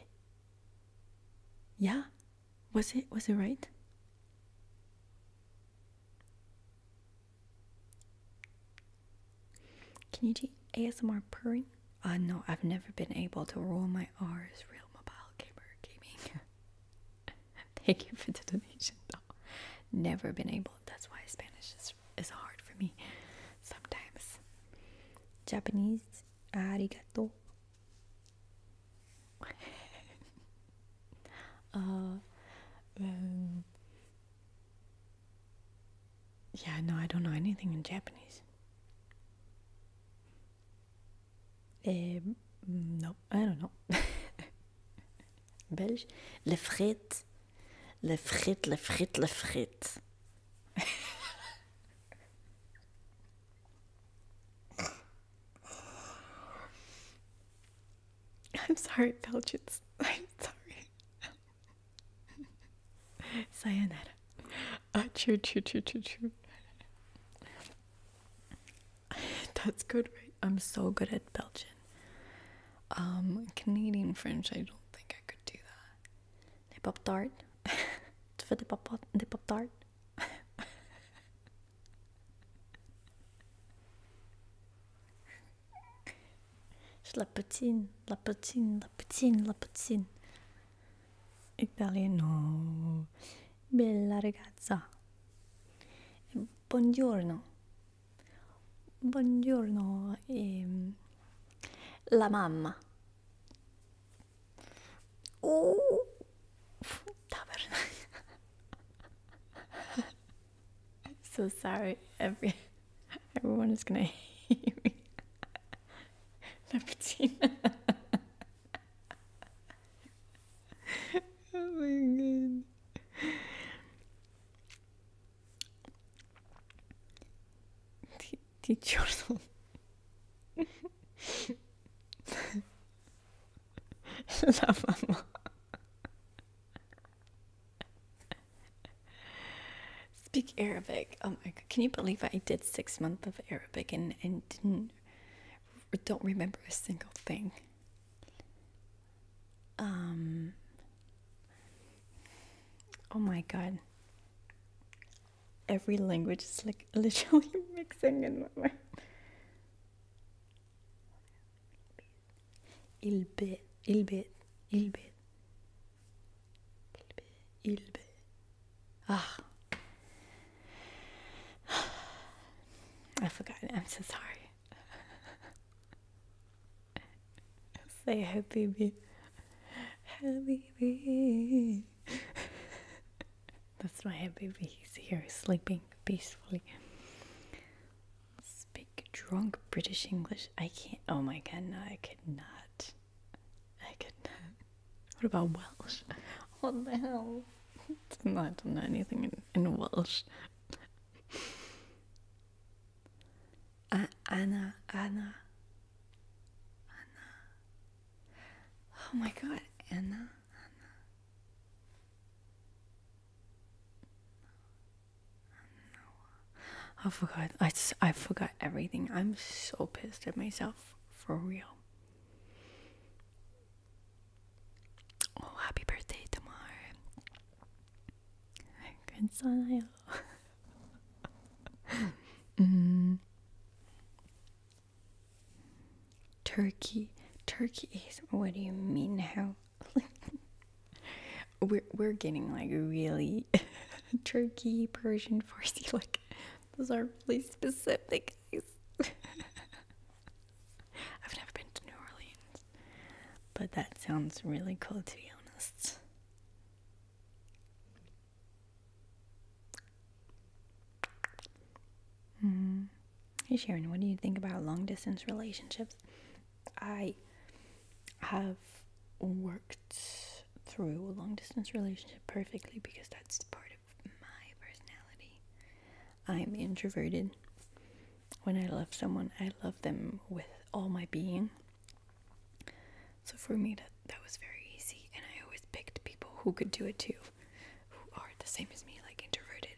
Yeah. Was it was it right? Can you do ASMR purring? Uh, no, I've never been able to roll my R's real mobile gamer gaming. Thank you for the donation Never been able. That's why Spanish is, is hard for me sometimes. Japanese, arigato. uh, um, yeah, no, I don't know anything in Japanese. Um, no, I don't know. Belge. Le frites. Le frites, le frites, le frites. I'm sorry, Belgians. I'm sorry. Sayonara. Ah, uh, true, true, true, true, That's good, right? I'm so good at Belgian. Um, Canadian French, I don't think I could do that. The pop tart. For the pop the pop tart. Slappetzin, lappetzin, lappetzin, lappetzin. Italiano. Bella ragazza. Buongiorno. Buongiorno. Ehm, la mamma. Uh, tabernacle. so sorry, every. Everyone is gonna hate me. Leptina. oh my god. Ti, ti giorno. La mamma. Speak Arabic. Oh my god, can you believe I did six months of Arabic and, and don't remember a single thing? Um Oh my god. Every language is like literally mixing in my mind. Il bit, il bit, il bit ilbe. Ah. I forgot. I'm so sorry. Say baby. habibi. baby. That's my baby. He's here sleeping peacefully. Big drunk British English. I can't. Oh my god, no, I could not. I could not. What about Welsh? What the hell? I don't know anything in, in Welsh. Anna, Anna, Anna. Oh my god, Anna. I forgot. I, I forgot everything. I'm so pissed at myself. For real. Oh, happy birthday tomorrow. Good mm-hmm. Turkey. Turkey is. What do you mean? How? we're we're getting like really Turkey, Persian, Farsi, like those are really specific. I've never been to New Orleans, but that sounds really cool to be honest. Mm. Hey Sharon, what do you think about long distance relationships? I have worked through a long distance relationship perfectly because that's part of my personality. I'm introverted. When I love someone, I love them with all my being. So for me, that, that was very easy, and I always picked people who could do it too, who are the same as me, like introverted.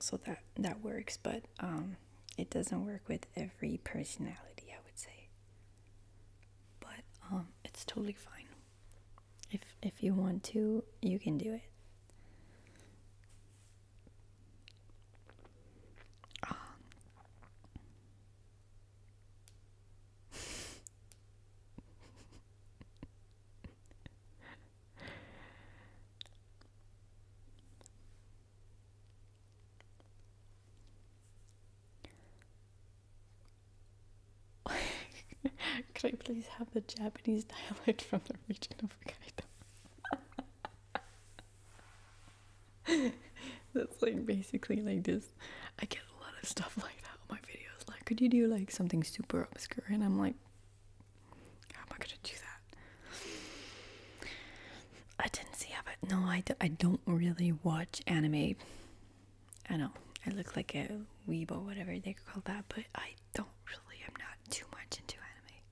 so that that works, but um, it doesn't work with every personality, I would say. But um, it's totally fine. If if you want to, you can do it. Could you please have the Japanese dialect from the region of Hokkaido? That's like basically like this. I get a lot of stuff like that on my videos. Like, could you do like something super obscure? And I'm like, how am I gonna do that? I didn't see of it. No, I, do, I don't really watch anime. I know I look like a weebo, whatever they call that, but I don't really. I'm not too much into anime.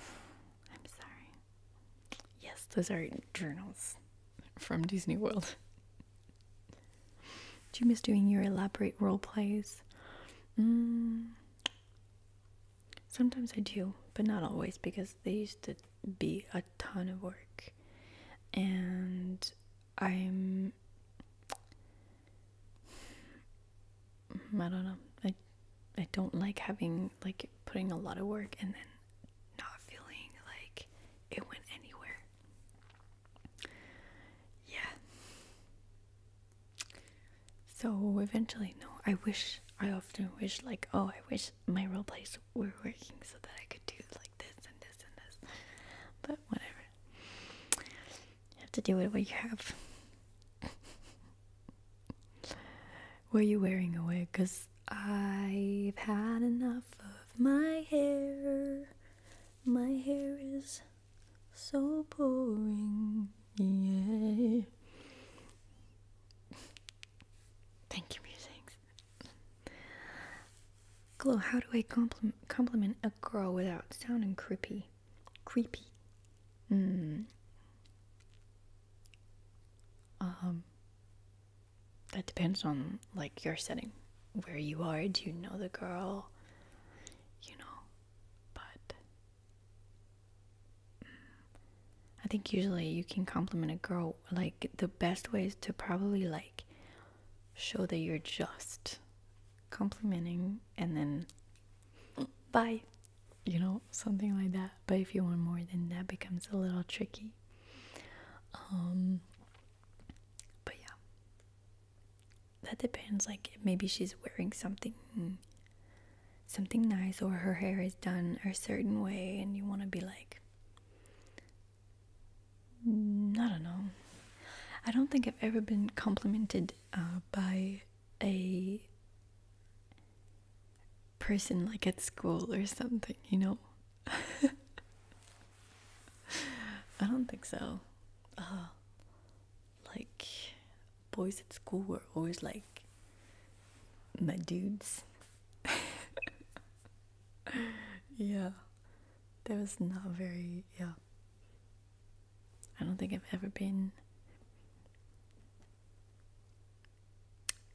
I'm sorry. Yes, those are journals from Disney World. Do you miss doing your elaborate role plays? Mm. Sometimes I do, but not always because they used to be a ton of work. And I'm. Mm, I don't know. I, I don't like having, like, putting a lot of work and then not feeling like it went anywhere. Yeah. So eventually, no, I wish, I often wish, like, oh, I wish my role plays were working so that I could do like this and this and this. But whatever. You have to do with what you have. what are you wearing wig? Because I've had enough of my hair. My hair is so boring. Yeah. Thank you, musings. Glow, how do I compliment, compliment a girl without sounding creepy? Creepy. Mm. Um. That depends on like your setting, where you are. Do you know the girl? You know, but I think usually you can compliment a girl like the best way is to probably like show that you're just complimenting and then bye you know something like that but if you want more then that becomes a little tricky um, but yeah that depends like maybe she's wearing something something nice or her hair is done a certain way and you want to be like mm, I don't know. I don't think I've ever been complimented uh, by a person like at school or something, you know? I don't think so. Uh, like, boys at school were always like my dudes. yeah, there was not very, yeah. I don't think I've ever been.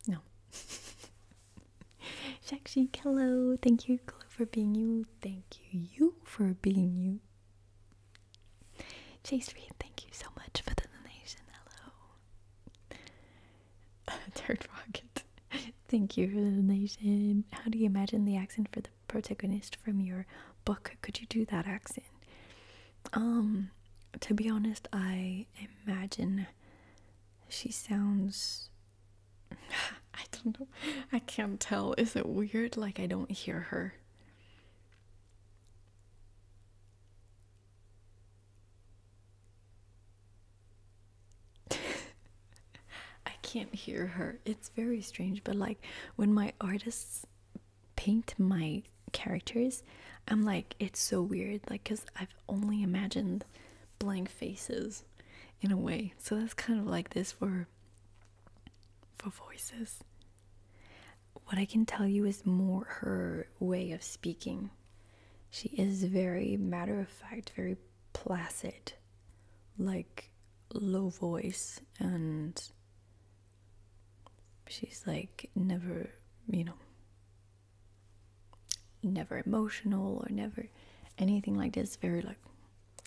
No. Shakshi, hello. Thank you, Chloe, for being you. Thank you, you, for being you. Chase Reed, thank you so much for the donation. Hello. Third Rocket. Thank you for the donation. How do you imagine the accent for the protagonist from your book? Could you do that accent? Um, to be honest, I imagine she sounds. I don't know. I can't tell. Is it weird? Like I don't hear her. I can't hear her. It's very strange, but like when my artists paint my characters, I'm like, it's so weird, like, because I've only imagined blank faces in a way. So that's kind of like this for for voices what I can tell you is more her way of speaking. She is very matter of fact, very placid, like low voice, and she's like never, you know, never emotional or never anything like this, very like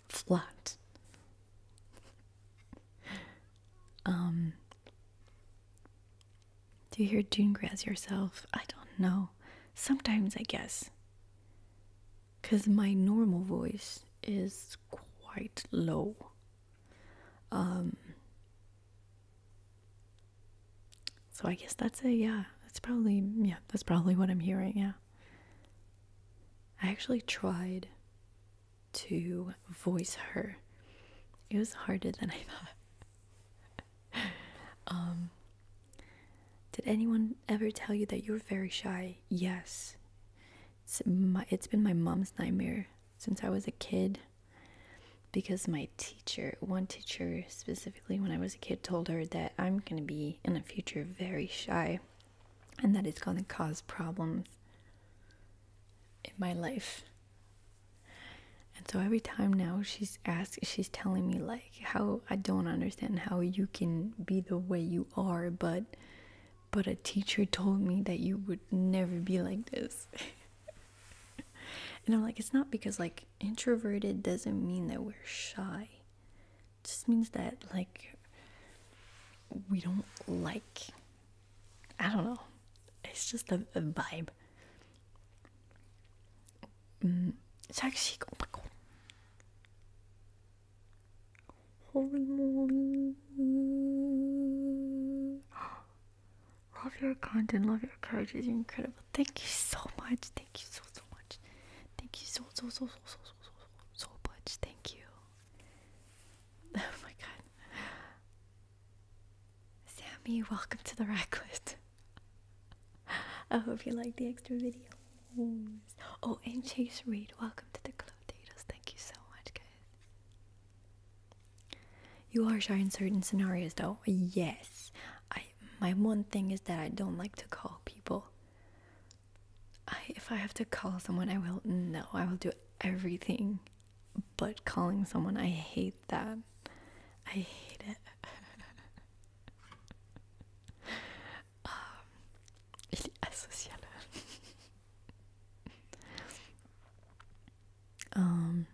flat. Um, do you hear Dunegrass yourself? I don't know. Sometimes I guess. Because my normal voice is quite low. Um, so I guess that's it. yeah. That's probably yeah. That's probably what I'm hearing. Yeah. I actually tried to voice her. It was harder than I thought. Um, did anyone ever tell you that you're very shy? Yes. It's, my, it's been my mom's nightmare since I was a kid because my teacher, one teacher specifically when I was a kid, told her that I'm going to be in the future very shy and that it's going to cause problems in my life. And so every time now she's asking, she's telling me like how I don't understand how you can be the way you are, but but a teacher told me that you would never be like this. and I'm like, it's not because like introverted doesn't mean that we're shy. It just means that like we don't like I don't know. It's just a, a vibe. Mm. Oh Holy moly. Love your content, love your courage. It's incredible. Thank you so much. Thank you so, so much. Thank you so, so, so, so, so, so, so, so much. Thank you. Oh my god. Sammy, welcome to the Racklet. I hope you like the extra videos. Oh, and Chase Reed, welcome to the Club Dados. Thank you so much, guys. You are shy in certain scenarios, though. Yes, I. My one thing is that I don't like to call people. I, if I have to call someone, I will. No, I will do everything but calling someone, I hate that. I hate it. Um, um,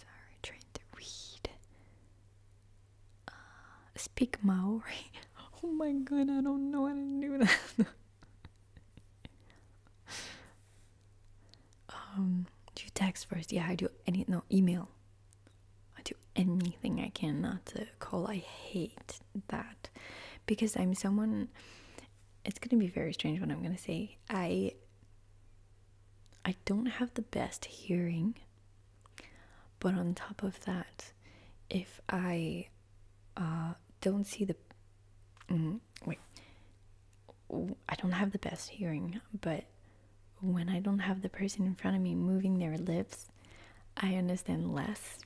sorry, trying to read speak Maori. oh my god, I don't know how to do that. um, do you text first? Yeah, I do any no email. I do anything I can not call. I hate that because I'm someone. It's gonna be very strange what I'm gonna say. I I don't have the best hearing, but on top of that, if I uh, don't see the. Mm-hmm, wait. I don't have the best hearing, but when I don't have the person in front of me moving their lips, I understand less.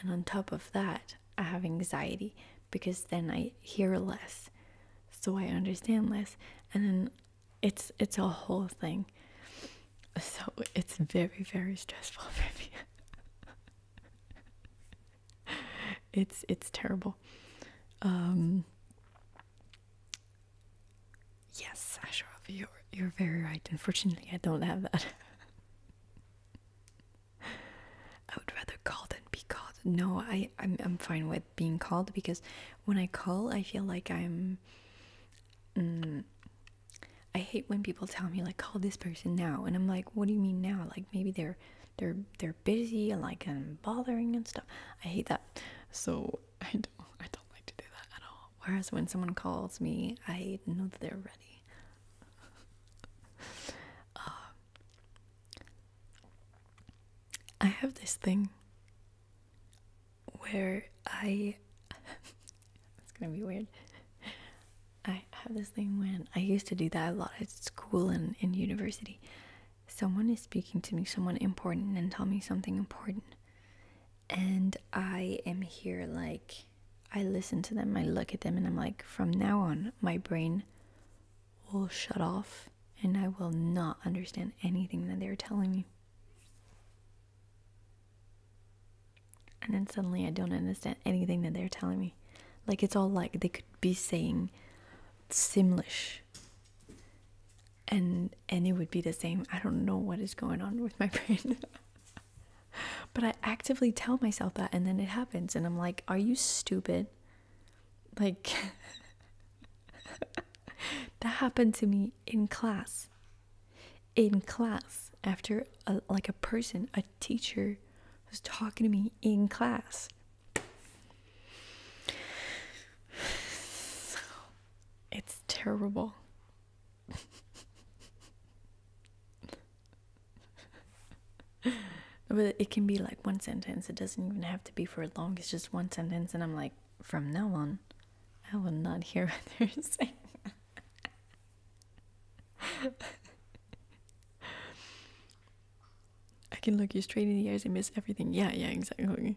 And on top of that, I have anxiety because then I hear less. So I understand less. And then it's it's a whole thing. So it's very, very stressful for me. it's it's terrible. Um, yes, Ashraf, you're you're very right. Unfortunately I don't have that. I would rather call than be called. No, I, I'm I'm fine with being called because when I call I feel like I'm mm, I hate when people tell me like call this person now and I'm like what do you mean now like maybe they're they're they're busy and like I'm bothering and stuff I hate that so I don't I don't like to do that at all whereas when someone calls me I know that they're ready um, I have this thing where I It's gonna be weird. I have this thing when I used to do that a lot at school and in university. Someone is speaking to me, someone important, and tell me something important. And I am here, like, I listen to them, I look at them, and I'm like, from now on, my brain will shut off and I will not understand anything that they're telling me and then suddenly I don't understand anything that they're telling me. Like it's all like they could be saying Simlish and and it would be the same. I don't know what is going on with my brain. but I actively tell myself that and then it happens and I'm like, are you stupid? Like that happened to me in class in class after a, like a person, a teacher was talking to me in class. it's terrible. but it can be like one sentence. It doesn't even have to be for long. It's just one sentence, and I'm like, from now on, I will not hear what they're saying. I can look you straight in the eyes and miss everything. Yeah, yeah, exactly.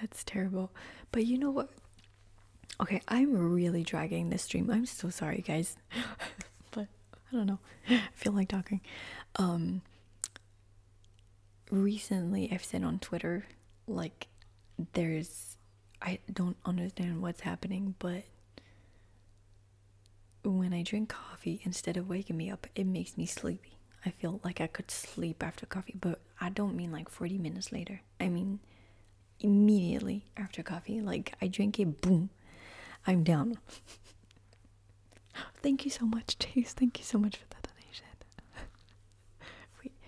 That's terrible. But you know what? Okay, I'm really dragging this stream. I'm so sorry, guys. but I don't know. I feel like talking. Um, recently I've said on Twitter, like, there's, I don't understand what's happening, but when I drink coffee, instead of waking me up, it makes me sleepy. I feel like I could sleep after coffee, but I don't mean like 40 minutes later. I mean immediately after coffee. Like I drink it, boom, I'm down. Thank you so much, Chase. Thank you so much for that donation.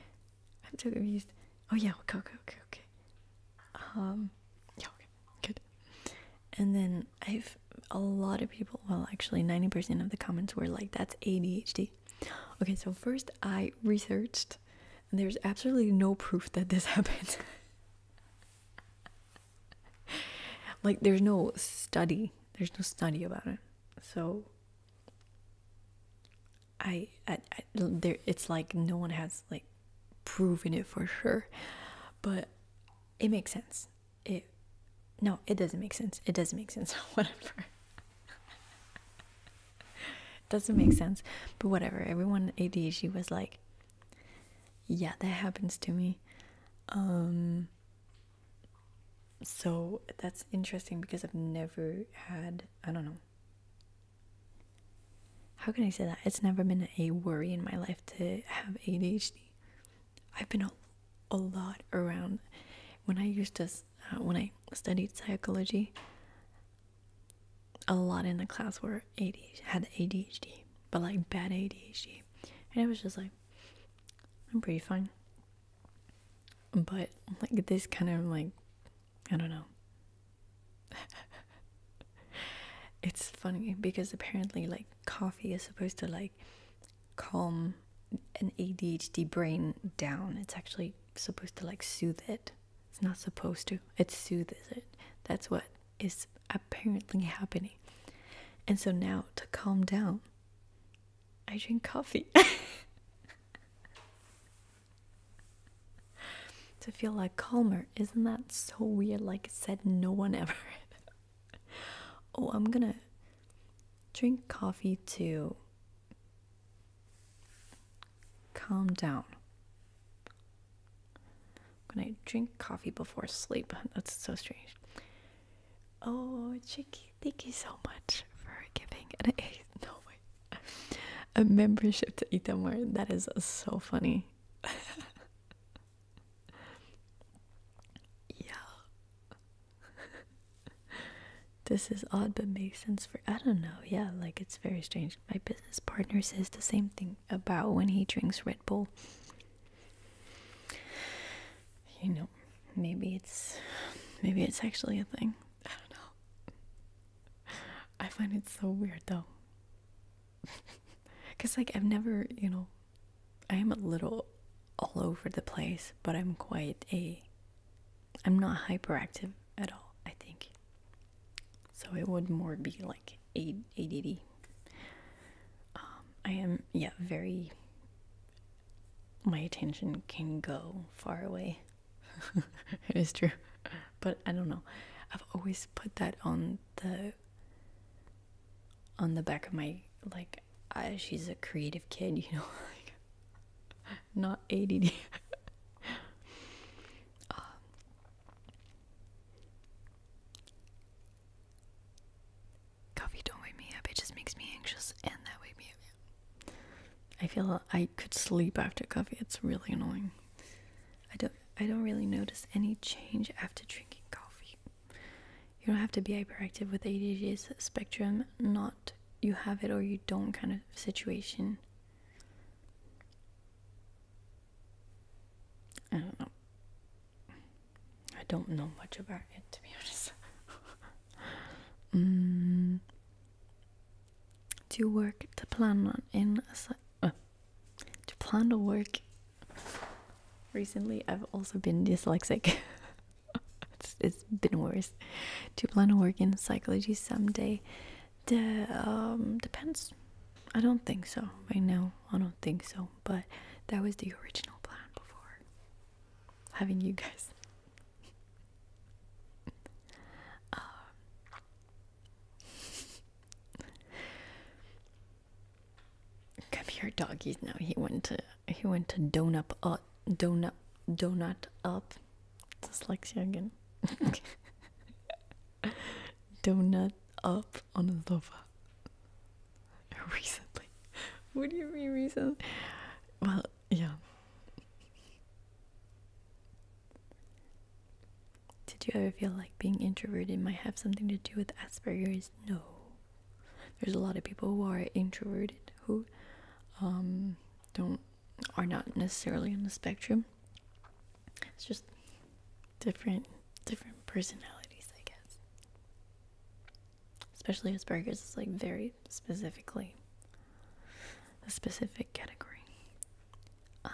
I'm so confused. Oh yeah, okay, okay, okay, Um, yeah, okay, good. And then I've a lot of people. Well, actually, ninety percent of the comments were like, "That's ADHD." Okay, so first I researched, and there's absolutely no proof that this happened. like, there's no study. There's no study about it. So I, I, there it's like no one has like proven it for sure but it makes sense it no it doesn't make sense it doesn't make sense whatever doesn't make sense but whatever everyone adhd was like yeah that happens to me um so that's interesting because I've never had, I don't know. How can I say that? It's never been a worry in my life to have ADHD. I've been a, a lot around. When I used to, uh, when I studied psychology, a lot in the class were ADHD, had ADHD, but like bad ADHD. And I was just like, I'm pretty fine but like this kind of like I don't know. it's funny because apparently like coffee is supposed to like calm an ADHD brain down. It's actually supposed to like soothe it. It's not supposed to. It soothes it. That's what is apparently happening. And so now to calm down, I drink coffee. to feel like calmer. Isn't that so weird? Like I said, no one ever. oh, I'm gonna drink coffee to calm down. i gonna drink coffee before sleep. That's so strange. Oh, Chicky, thank you so much for giving. And A. no, way. a membership to Itamar. That is so funny. yeah. this is odd but makes sense for I don't know. Yeah, like it's very strange. My business partner says the same thing about when he drinks Red Bull. You know, maybe it's maybe it's actually a thing. I don't know. I find it so weird though. Because, like, I've never, you know, I am a little all over the place, but I'm quite a. I'm not hyperactive at all, I think. So it would more be like ADD. Um, I am, yeah, very. My attention can go far away. it is true. But I don't know. I've always put that on the on the back of my like she's a creative kid, you know, like not ADD. um, coffee don't wake me up, it just makes me anxious and that wake me up I feel I could sleep after coffee. It's really annoying. I don't I don't really notice any change after drinking coffee. You don't have to be hyperactive with ADHD spectrum, not you have it or you don't kind of situation. I don't know. I don't know much about it to be honest. mm to work to plan on in uh, to plan to work recently i've also been dyslexic it's been worse to plan to work in psychology someday um, depends i don't think so I know i don't think so but that was the original plan before having you guys um, come here, doggies. Now he went to he went to donut up, donut donut up. Dyslexia again. donut up on the sofa. Recently, what do you mean recently? Well, yeah. Did you ever feel like being introverted might have something to do with Asperger's? No. There's a lot of people who are introverted who um, don't are not necessarily on the spectrum. It's just different different personalities, I guess. Especially Asperger's is like very specifically, a specific category. Um,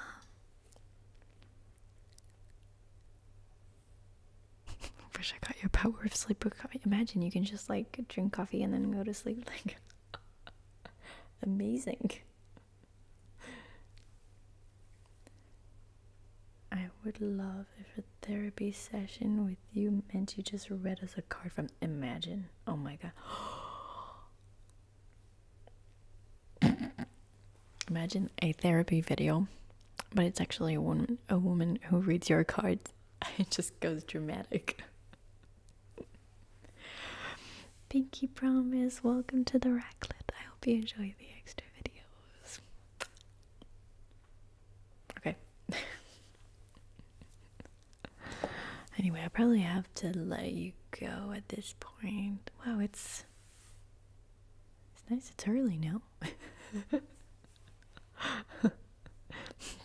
wish I got your power of sleep with coffee. Imagine you can just like drink coffee and then go to sleep. Like, amazing. I would love if a therapy session with you meant you just read us a card from imagine. Oh my god. imagine a therapy video, but it's actually a woman a woman who reads your cards. It just goes dramatic. Pinky promise, welcome to the Racklet. I hope you enjoy the extra videos. Okay. anyway, I probably have to let you go at this point. Wow, it's it's nice. It's early now.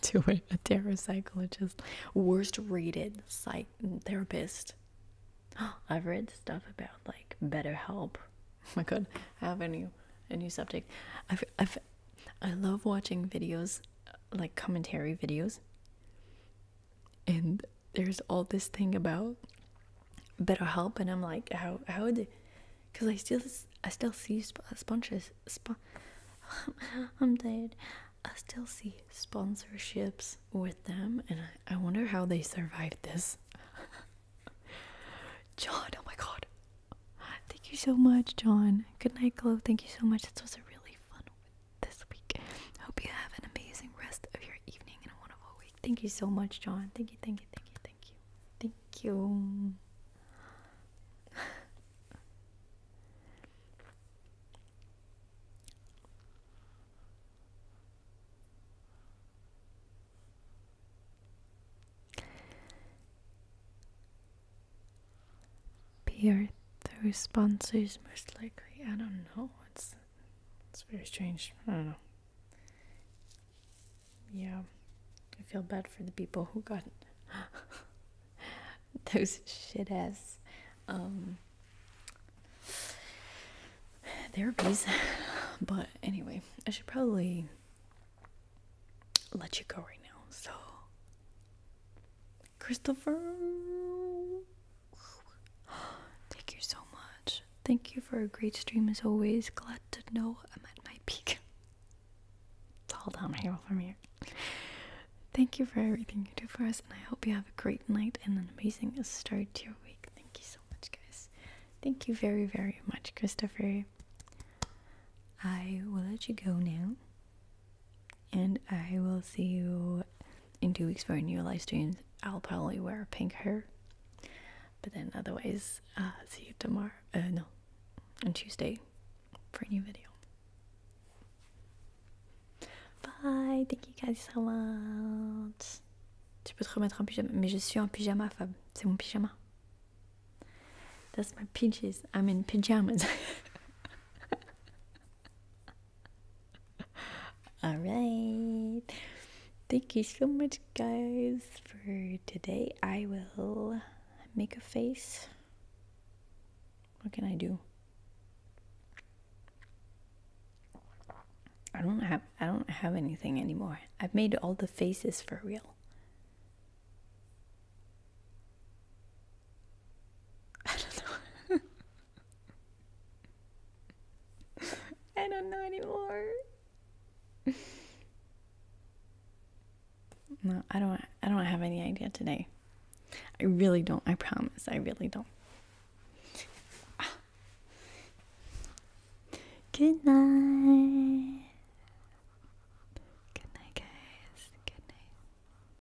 Do it. A tarot psychologist, worst rated psychotherapist. I've read stuff about like better help. my god, I have a new a new subject. I've, I've I love watching videos like commentary videos and there's all this thing about better help and i'm like how how would because i still i still see sponsors. i'm tired i still see sponsorships with them and i, wonder how they survived this john oh my god thank you so much john good night glow thank you so much this was a really fun this week. Hope you have an amazing rest of your evening and wonderful week. Thank you so much, John. Thank you, thank you, thank you, thank you. Thank you. Pierre, the response is most likely. I don't know. It's it's very strange. I don't know. Yeah, I feel bad for the people who got those shit ass um, therapies. But anyway, I should probably let you go right now. So Christopher. Thank you so much. Thank you for a great stream as always. Glad to know I'm at my peak. It's all downhill from here. Thank you for everything you do for us, and I hope you have a great night and an amazing start to your week. Thank you so much, guys. Thank you very, very much, Christopher. I will let you go now. And I will see you in two weeks for a new live stream. I'll probably wear pink hair. But then otherwise, uh, see you tomorrow. Uh, no, on Tuesday for a new video. Bye, thank you guys so much. Tu peux te remettre en pyjama, mais je suis en pyjama, Fab. C'est mon pyjama. That's my peaches. I'm in pajamas. All right. Thank you so much, guys, for today. I will make a face. What can I do? I don't have I don't have anything anymore. I've made all the faces for real. I don't know. I don't know anymore. No, I don't I don't have any idea today. I really don't. I promise. I really don't. Good night. Good night, guys. Good night.